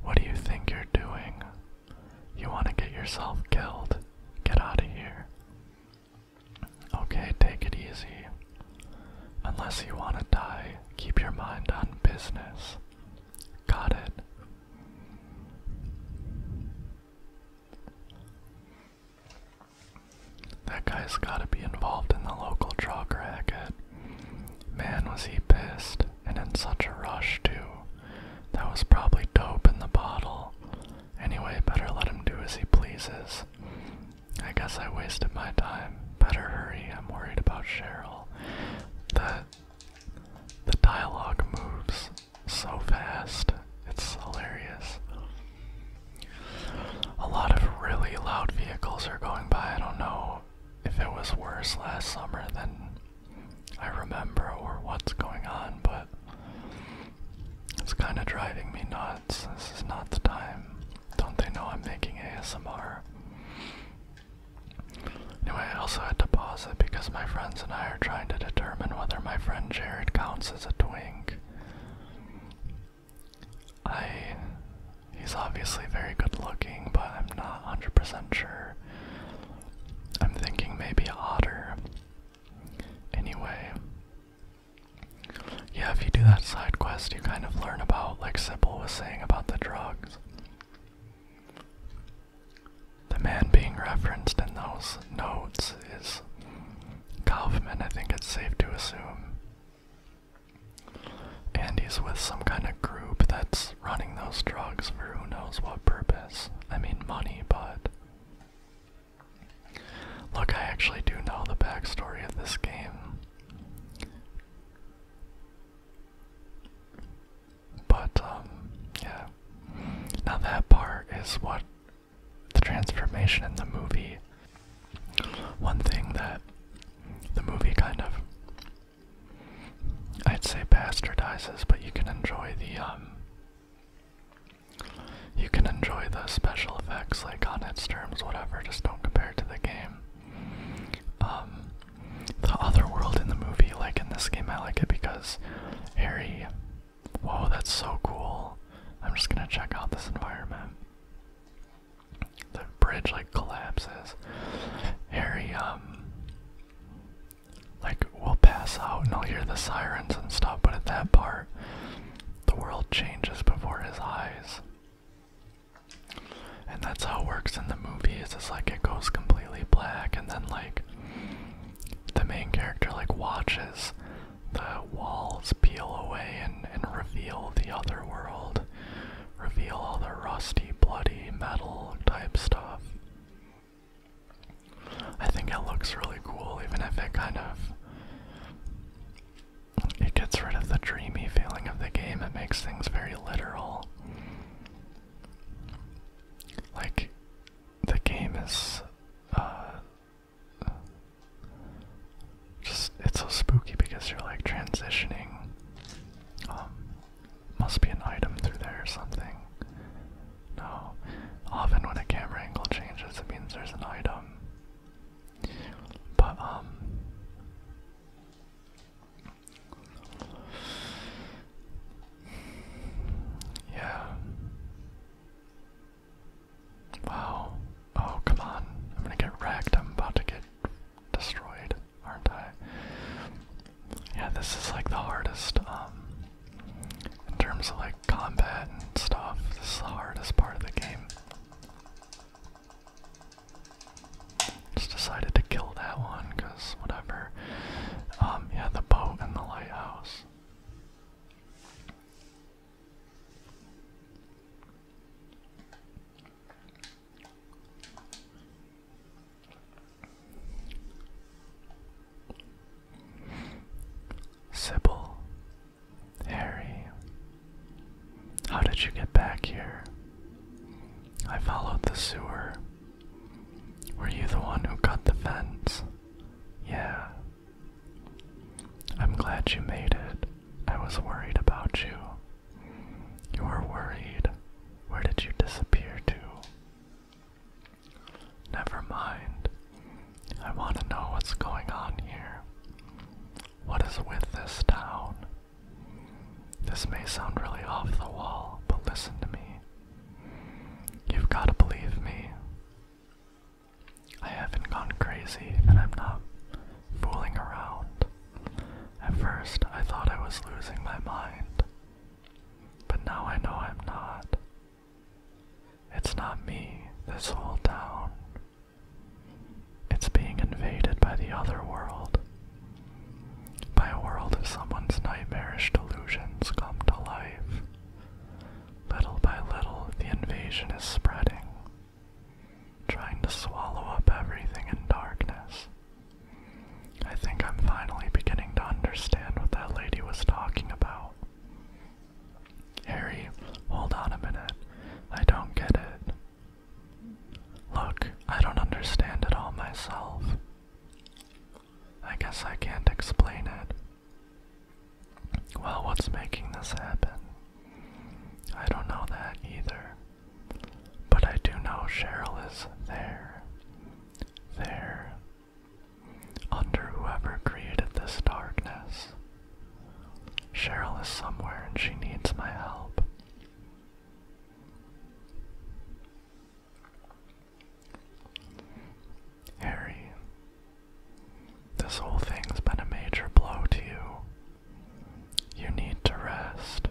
What do you think you're doing? You want to get yourself killed? Get out of here. Okay, take it easy. Unless you want to die, keep your mind on business. Got it. That guy's gotta be involved in the local drug racket. Man, was he pissed and in such a rush, too. That was probably dope in the bottle. Anyway, better let him do as he pleases. I guess I wasted my time. Better hurry, I'm worried about Cheryl. That. The dialogue moves so fast. It's hilarious. A lot of really loud vehicles are going by. I don't know if it was worse last summer than I remember or what's going on, but it's kind of driving me nuts. This is not the time. Don't they know I'm making ASMR? Anyway, I also had to pause it because my friends and I are trying to determine whether my friend Jared counts as a twink. I he's obviously very good looking, but I'm not 100% sure. I'm thinking maybe otter. Anyway, yeah, if you do that side quest, you kind of learn about like Sybil was saying about the drugs. The man being referenced in those notes is Kaufman, I think it's safe to assume. And he's with some kind of group that's running those drugs for who knows what purpose. I mean, money, but. Look, I actually do know the backstory of this game. But, um, yeah. Now, that part is what the transformation in the movie. One thing that the movie kind of I'd say bastardizes, but you can enjoy the um you can enjoy the special effects like on its terms, whatever, just don't compare it to the game. Um the other world in the movie, like in this game I like it because Harry Whoa, that's so cool. I'm just gonna check out this environment. The bridge like collapses. Harry um like will pass out and I'll hear the sirens and stuff, but at that part the world changes before his eyes. And that's how it works in the movies. it's like it goes completely black and then like the main character like watches the walls peel away and, and reveal the other world reveal all the rusty, bloody metal type stuff. I think it looks really cool, even if it kind of. It gets rid of the dreamy feeling of the game, it makes things very literal. Like, the game is. Uh, just, it's so spooky because you're like transitioning um, must be an item through there or something. No. Often when a camera angle changes, it means there's an item. But, um. Yeah. Wow. Oh, come on. I'm gonna get racked. I'm about to get destroyed, aren't I? Yeah, this is like the hardest, um, in terms of like combat and stuff, this is the hardest part of the game. Just decided to kill that one, cause whatever. Um, yeah, the boat and the lighthouse. Sybil, Harry, how did you get back here? I followed the sewer. Were you the one who cut the fence? Yeah. I'm glad you made it. I was worried about you. You are worried. Where did you disappear to? Never mind. I want to know what's going on here. What is with this town? This may sound really off the wall, but listen to me. You've got to believe me. I haven't gone crazy and I'm not fooling around. At first, I thought I was losing my mind, but now I know I'm not. It's not me, this whole town. It's being invaded by the other world. By a world of someone's nightmarish delusions come to life. Little by little, the invasion is spreading, trying to swallow up everything in darkness. I think I'm finally beginning to understand what that lady was talking about. Harry, hold on a minute. I don't get it. Look, I don't understand it all myself. I guess I can't explain it. Well, what's making this happen? I don't know that either. But I do know Cheryl is there. There. Under whoever created this darkness. Cheryl is somewhere and she needs my help. Harry, this whole thing's been a major blow to you. You need to rest.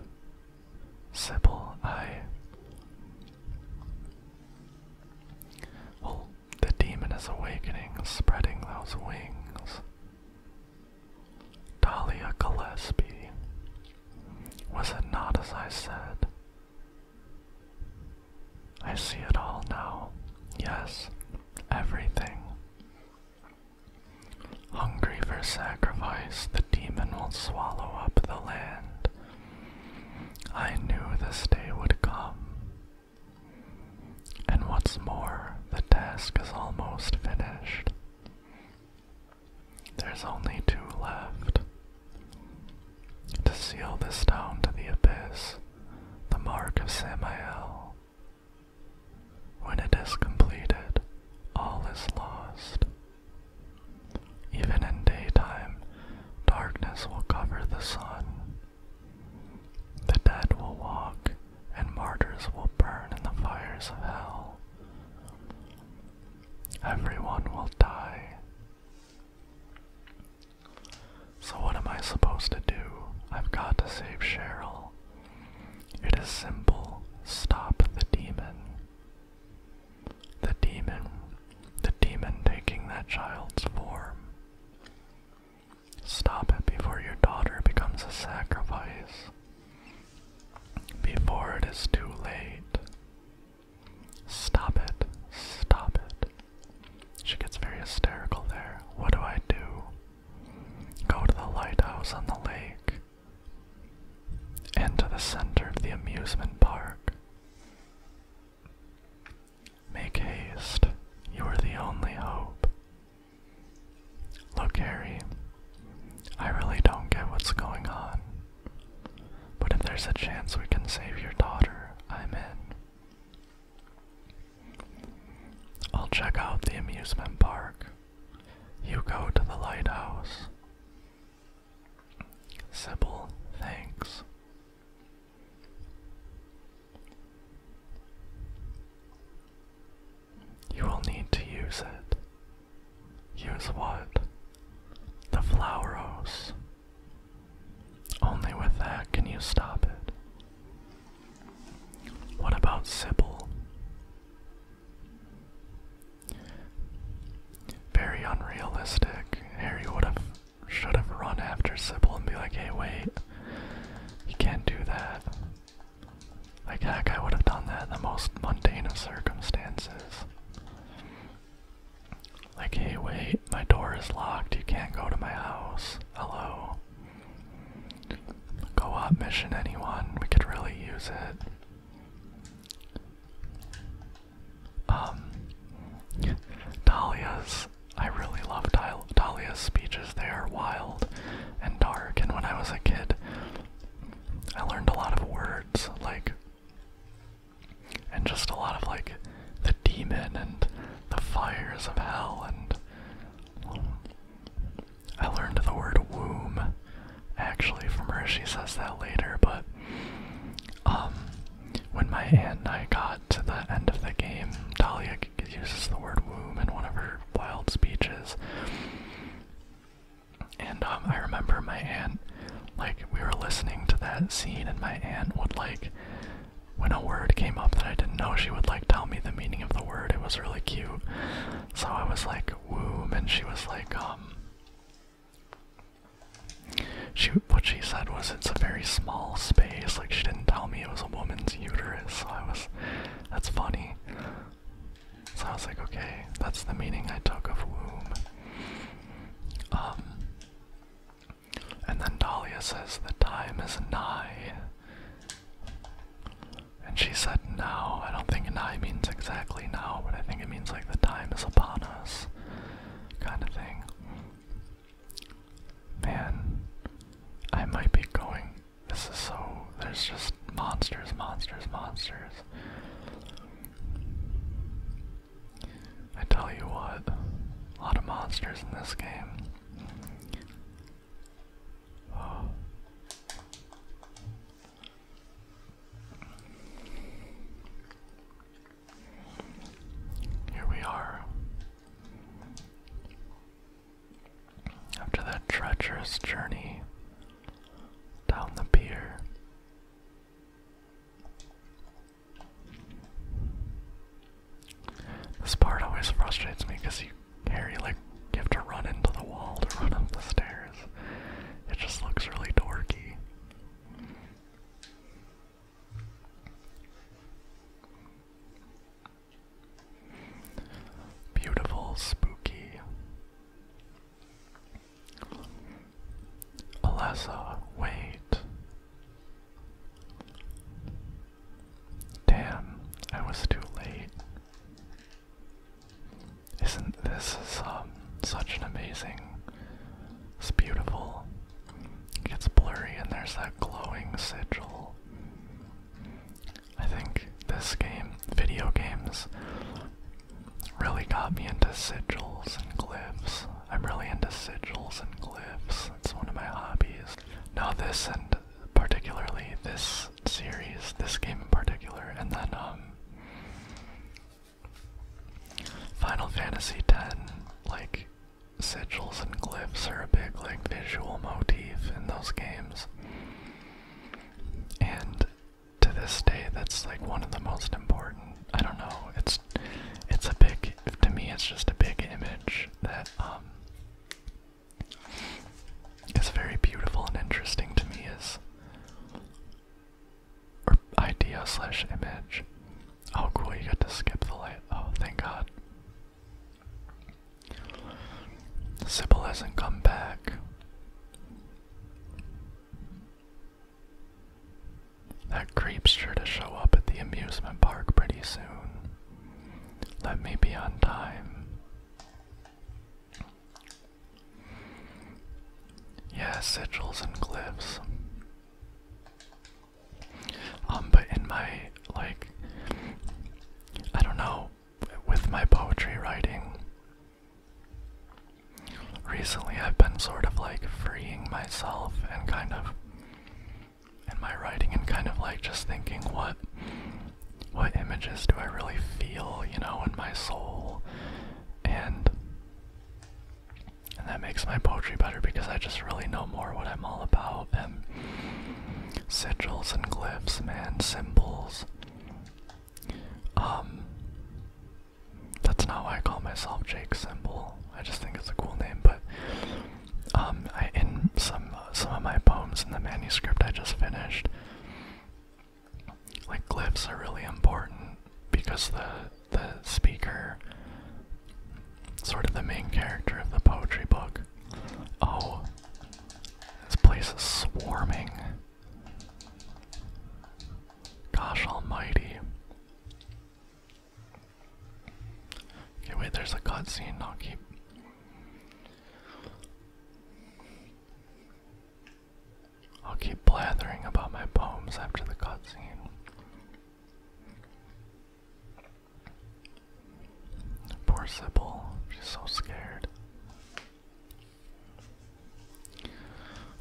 Sybil, I. Well, the demon is awakening, spreading those wings. Dahlia Gillespie. Was it not as I said? I see it all now. Yes, everything. Hungry for sacrifice, the demon will swallow up the land. I knew this day would come. And what's more, the task is almost finished. There's only two left. To seal this down to the abyss, the mark of Samuel. When it is completed, all is lost. Even in daytime, darkness will cover the sun. The dead will walk, and martyrs will burn in the fires of hell. Everyone will die. So, what am I supposed to do? I've got to save Cheryl. It is simple. Stop the demon. The demon. The demon taking that child's form. Stop it before your daughter becomes a sacrifice. Before it is too late. Stop it. Stop it. She gets very hysterical there. What do I do? Go to the lighthouse on the lake into the center of the amusement park. Make haste, you are the only hope. Look, Harry, I really don't get what's going on. But if there's a chance we can save your daughter, I'm in. I'll check out the amusement park. You go to the lighthouse. Sybil, thanks. You will need to use it. Use what? The flowers. Only with that can you stop it. What about Sybil? Very unrealistic. Harry would have should have run after Sybil and be like, hey wait, you can't do that. Like heck I would have done that in the most mundane of circumstances. Like, hey wait, my door is locked, you can't go to my house. Hello. Go up mission anyone, we could really use it. Um, Dahlia's, I really love Dahlia's speeches. They are wild and dark, and when I was a kid, I learned a lot of words, like, and just a lot of, like, the demon and the fires of hell and. I learned the word womb actually from her. She says that later, but um, when my aunt and I got to the end of the game, Dahlia uses the word womb in one of her wild speeches. And um, I remember my aunt, like, we were listening to that scene, and my aunt would, like, when a word came up that I didn't know, she would, like, tell me the meaning of the word. It was really cute. So I was like, womb, and she was like, um, she what she said was it's a very small space. Like she didn't tell me it was a woman's uterus. So I was, that's funny. So I was like, okay, that's the meaning I took of womb. Um, and then Dahlia says the time is nigh. And she said "No, I don't think now means exactly now, but I think it means like the time is upon us kind of thing. Man, I might be going. This is so. There's just monsters, monsters, monsters. I tell you what, a lot of monsters in this game. Oh. Here we are. After that treacherous journey down the pier. This part always frustrates me because you Harry like you have to run into the wall to run up the stairs. It just looks really dorky. Beautiful, spooky. Alessa, wait. Damn, I was too late. Isn't this is, um, such an amazing? It's beautiful. It gets blurry, and there's that glowing sigil. I think this game, video games, really got me into sigils and glyphs. I'm really into sigils and glyphs. It's one of my hobbies. Now this, and particularly this series, this game in particular, and then um, Final Fantasy X, like sigils and glyphs are a big like visual motif in those games, and to this day, that's like one of the most important. I don't know. It's it's a big to me. It's just a big image that um. It's very beautiful and interesting to me is or idea slash image. Oh cool, you got to skip the light. Oh, thank god. Sybil hasn't come back. That creep's sure to show up at the amusement park pretty soon. Let me be on time. Yes, sigils and glyphs. Um, but in my, like, I don't know, with my poetry writing, recently I've been sort of like freeing myself and kind of in my writing and kind of like just thinking what what images do I really feel, you know, in my soul and that makes my poetry better because I just really know more what I'm all about and sigils and glyphs, man, symbols. Um that's not why I call myself Jake Symbol. I just think it's a cool name, but um in some some of my poems in the manuscript I just finished like glyphs are really important because the the speaker sort of the main character of the poetry book. Oh, this place is swarming. Gosh almighty. Okay, wait, there's a cutscene, I'll keep. I'll keep blathering about my poems after the cutscene. Poor Sybil, she's so scared.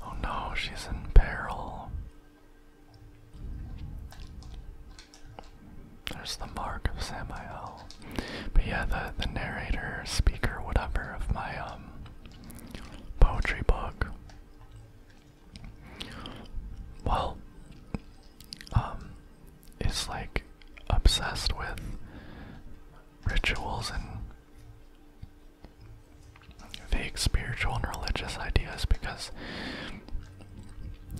Oh no, she's in peril. There's the mark of Samuel. But yeah, the, the narrator, speaker, whatever of my um poetry book. Well, um, is like obsessed with rituals and vague spiritual and religious ideas because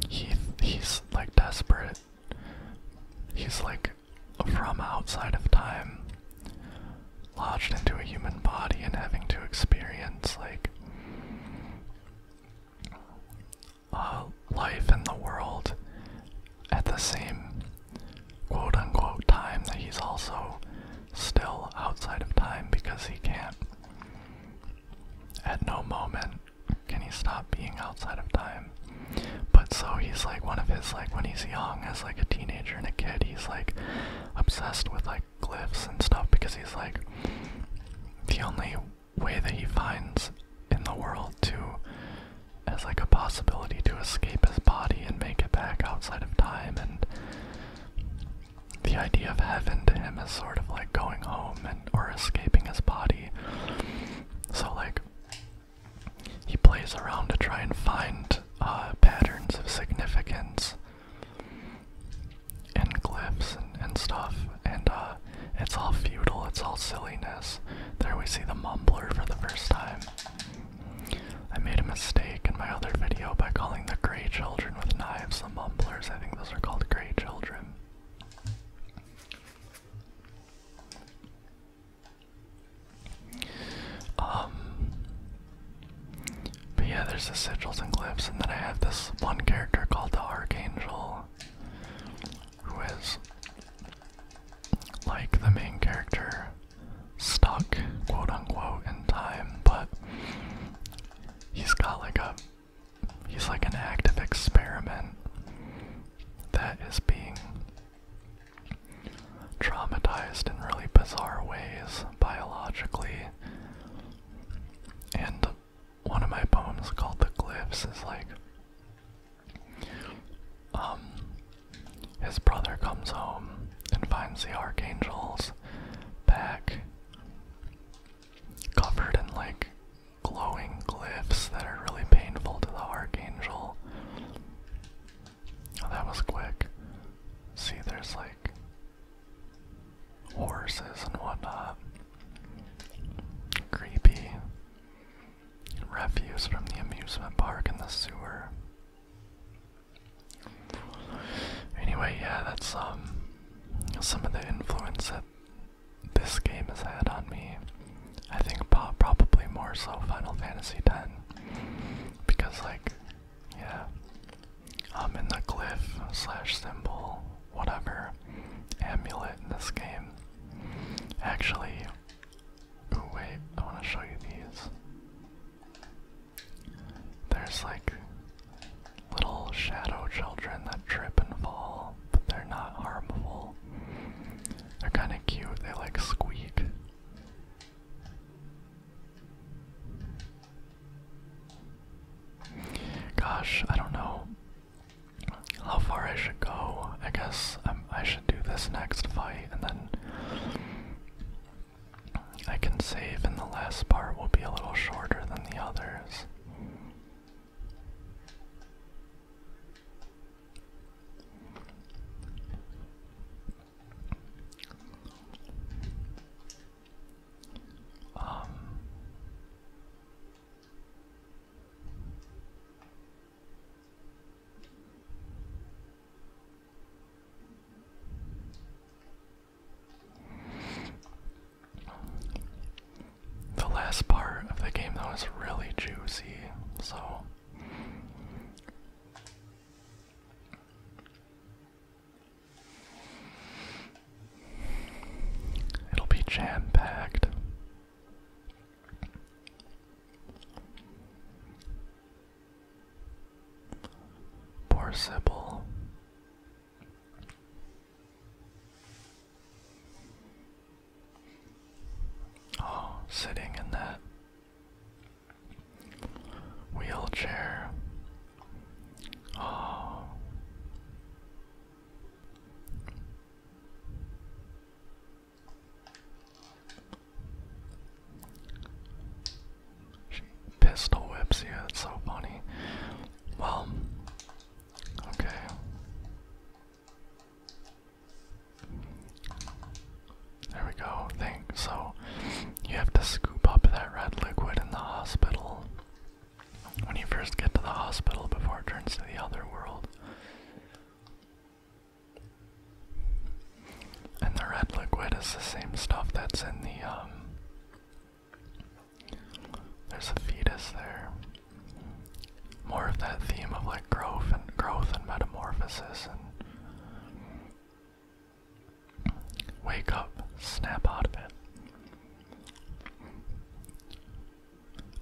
he he's like desperate. He's like from outside of time lodged into a human body and having to experience like life in the world at the same quote unquote time that he's also still outside of time because he can't at no moment can he stop being outside of time but so he's like one of his like when he's young as like a teenager and a kid, he's like obsessed with like glyphs and stuff because he's like the only way that he finds in the world to as like a possibility to escape his body and make it back outside of time and the idea of heaven to him is sort of like going home and or escaping his body. So like he plays around to try and find uh, patterns of significance and glyphs and, stuff, and uh, it's all futile, it's all silliness. There we see the mumbler for the first time. I made a mistake in my other video by calling the gray children with knives the mumblers. I think those are called gray children. Um, but yeah, there's the sigils and glyphs, and then I have this one character called the Archangel, who is like the main character, stuck, quote unquote, in time, but he's got like a he's like an active experiment that is being traumatized in really bizarre ways biologically. And one of my poems called The Glyphs is like um his brother comes home and finds the archangels back covered in like glowing glyphs that are really painful to the archangel Oh, that was quick. See, there's like horses and whatnot. Creepy. Refuse from the amusement park in the sewer. Anyway, yeah, that's um some of the influence that this game has had on me. I think probably more so Final Fantasy X because like yeah i'm in the glyph slash symbol whatever amulet in this game actually oh wait i want to show you these there's like little shadow children that trip and fall but they're not harmful they're kind of cute they like squeak Gosh, I don't know how far I should go. I guess i should do this next fight, and then I can save, and the last part will be a little shorter than the others. Um, the last part of the game though is really juicy, so It'll be jam packed. Poor Sybil. Oh, sitting in that Wheelchair. Oh. pistol whips you, that's so funny. Well, okay. There we go. Thank so you have to scoop up that red liquid in the hospital when you first get to the hospital before it turns to the other world. And the red liquid is the same stuff that's in the um there's a fetus there. More of that theme of like growth and growth and metamorphosis and Wake up, snap out of it.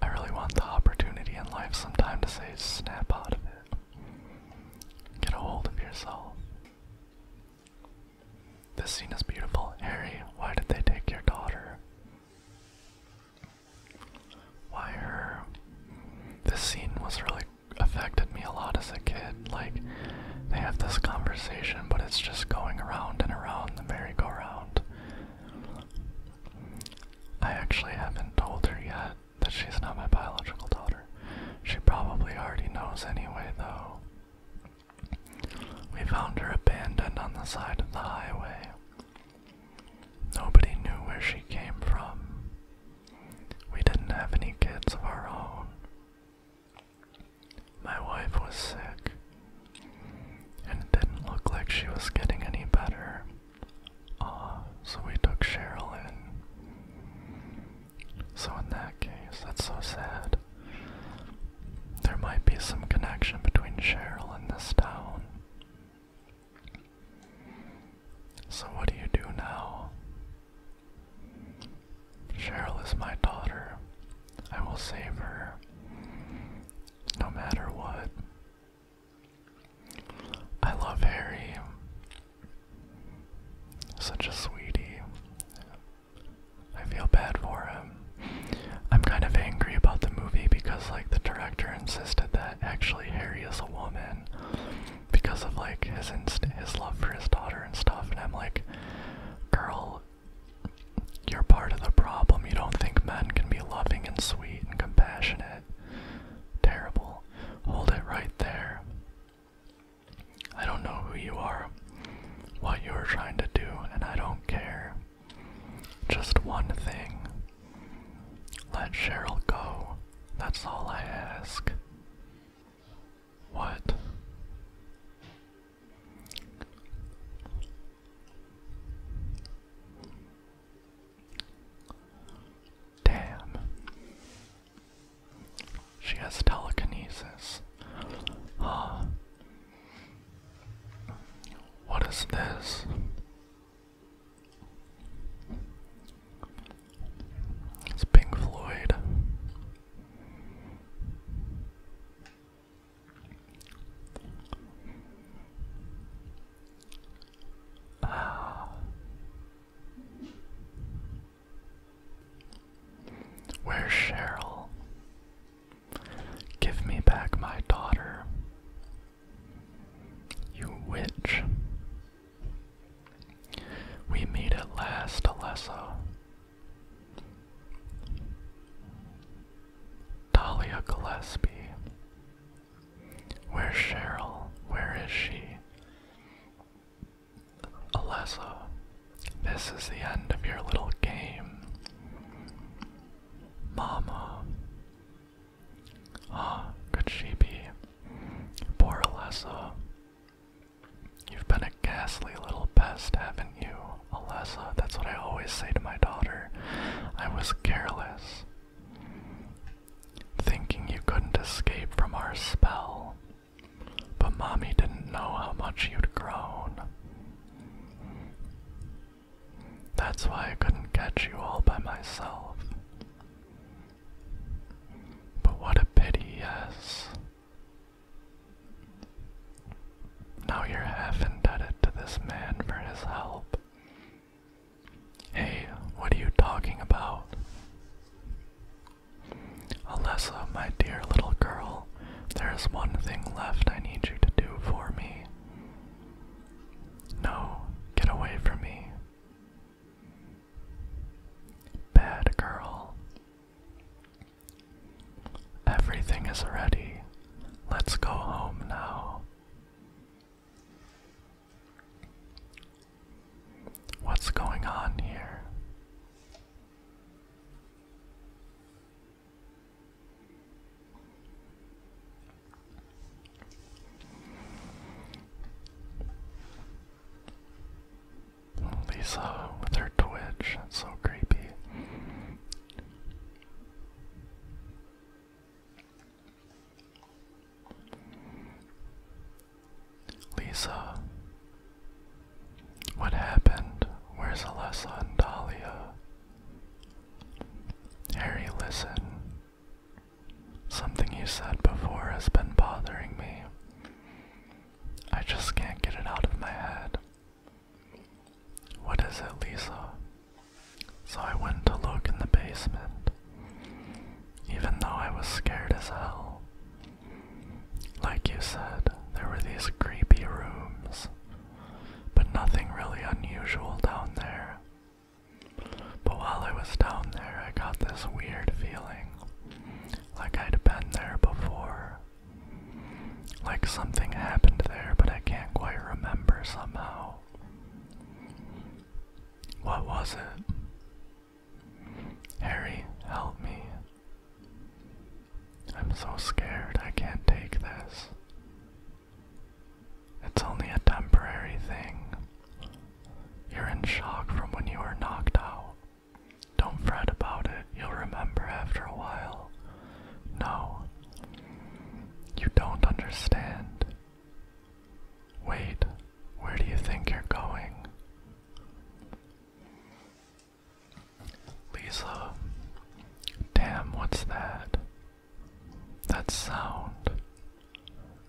I really want the opportunity in life sometime to say, snap out of it. Get a hold of yourself. This scene is beautiful. Harry, why did they take your daughter? Why her? This scene was really affected me a lot as a kid. Like, they have this conversation, but it's just going around and around the merry-go-round. I actually haven't told her yet that she's not my biological daughter. She probably already knows anyway, though. We found her abandoned on the side of the highway. Nobody knew where she came from. We didn't have any kids of our own. My wife was sick, and it didn't look like she was getting any better. Uh, so we took Cheryl in. So, in that case, that's so sad. There might be some connection between Cheryl and this town. So, what do you do now? Cheryl is my daughter. I will save her. No matter what. I love Harry. Such a sweetie. I feel bad for him. I'm kind of angry about the movie because, like, the director insisted that actually Harry is a woman because of like his his love for his daughter and stuff. And I'm like, girl, you're part of the problem. You don't think men can be loving and sweet and compassionate. Terrible. Hold it right there. I don't know who you are, what you're trying to do, and I don't care. Just one thing. Let Cheryl go. That's all I ask. What? Damn. She has telekinesis. Huh. What is this? It's Pink Floyd. Ah. Where's Cheryl? Give me back my daughter. You witch. We meet at last, Alessa. Dahlia Gillespie. Where's Cheryl? Where is she? Alessa, this is the end of your little game. Mama. Ah, could she be? Poor Alessa. You've been a ghastly little pest, haven't you, Alessa? That's what I always say to my daughter. I was careless. Thinking you couldn't escape from our spell. But Mommy didn't know how much you'd grown. That's why I couldn't catch you all by myself. But what a pity, yes. Now you're half indebted to this man for his help. Hey, what are you talking about? Alessa, my dear little girl, there is one thing left I need you to do for me. No, get away from me. Bad girl. Everything is ready. Let's go home now. What's going on here? Lisa with her twitch. That's so creepy. Lisa, what happened? Where's Alessa and Dahlia? Harry, listen. Something you said before has been bothering me. I just can't get it out of my head. What is it, Lisa? So I went to look in the basement, even though I was scared as hell. Like you said, there were these creepy rooms, but nothing really unusual down there. But while I was down there, I got this weird feeling like I'd been there before. Like something happened there, but I can't quite remember somehow. What was it? Harry, help me. I'm so scared, I can't take this. It's only a temporary thing. You're in shock from when you were knocked out. Don't fret about it, you'll remember after a while. No, you don't understand. Wait, where do you think you're going? Lisa, damn, what's that? That sound.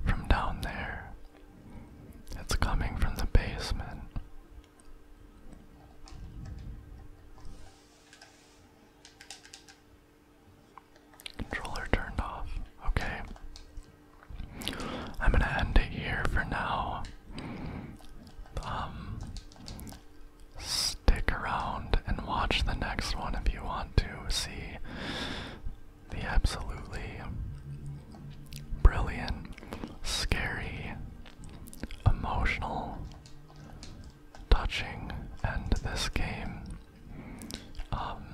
From down there. It's coming from the basement. Controller turned off. Okay. I'm gonna end it here for now. Um, stick around and watch the next one if you want to see the absolutely brilliant, scary, emotional, touching end this game. Um,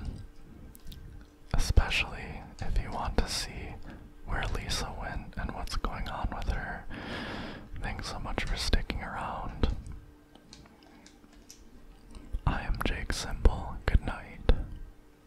especially if you want to see where Lisa went and what's going on with her. Thanks so much for sticking around. I am Jake Simple. Good night.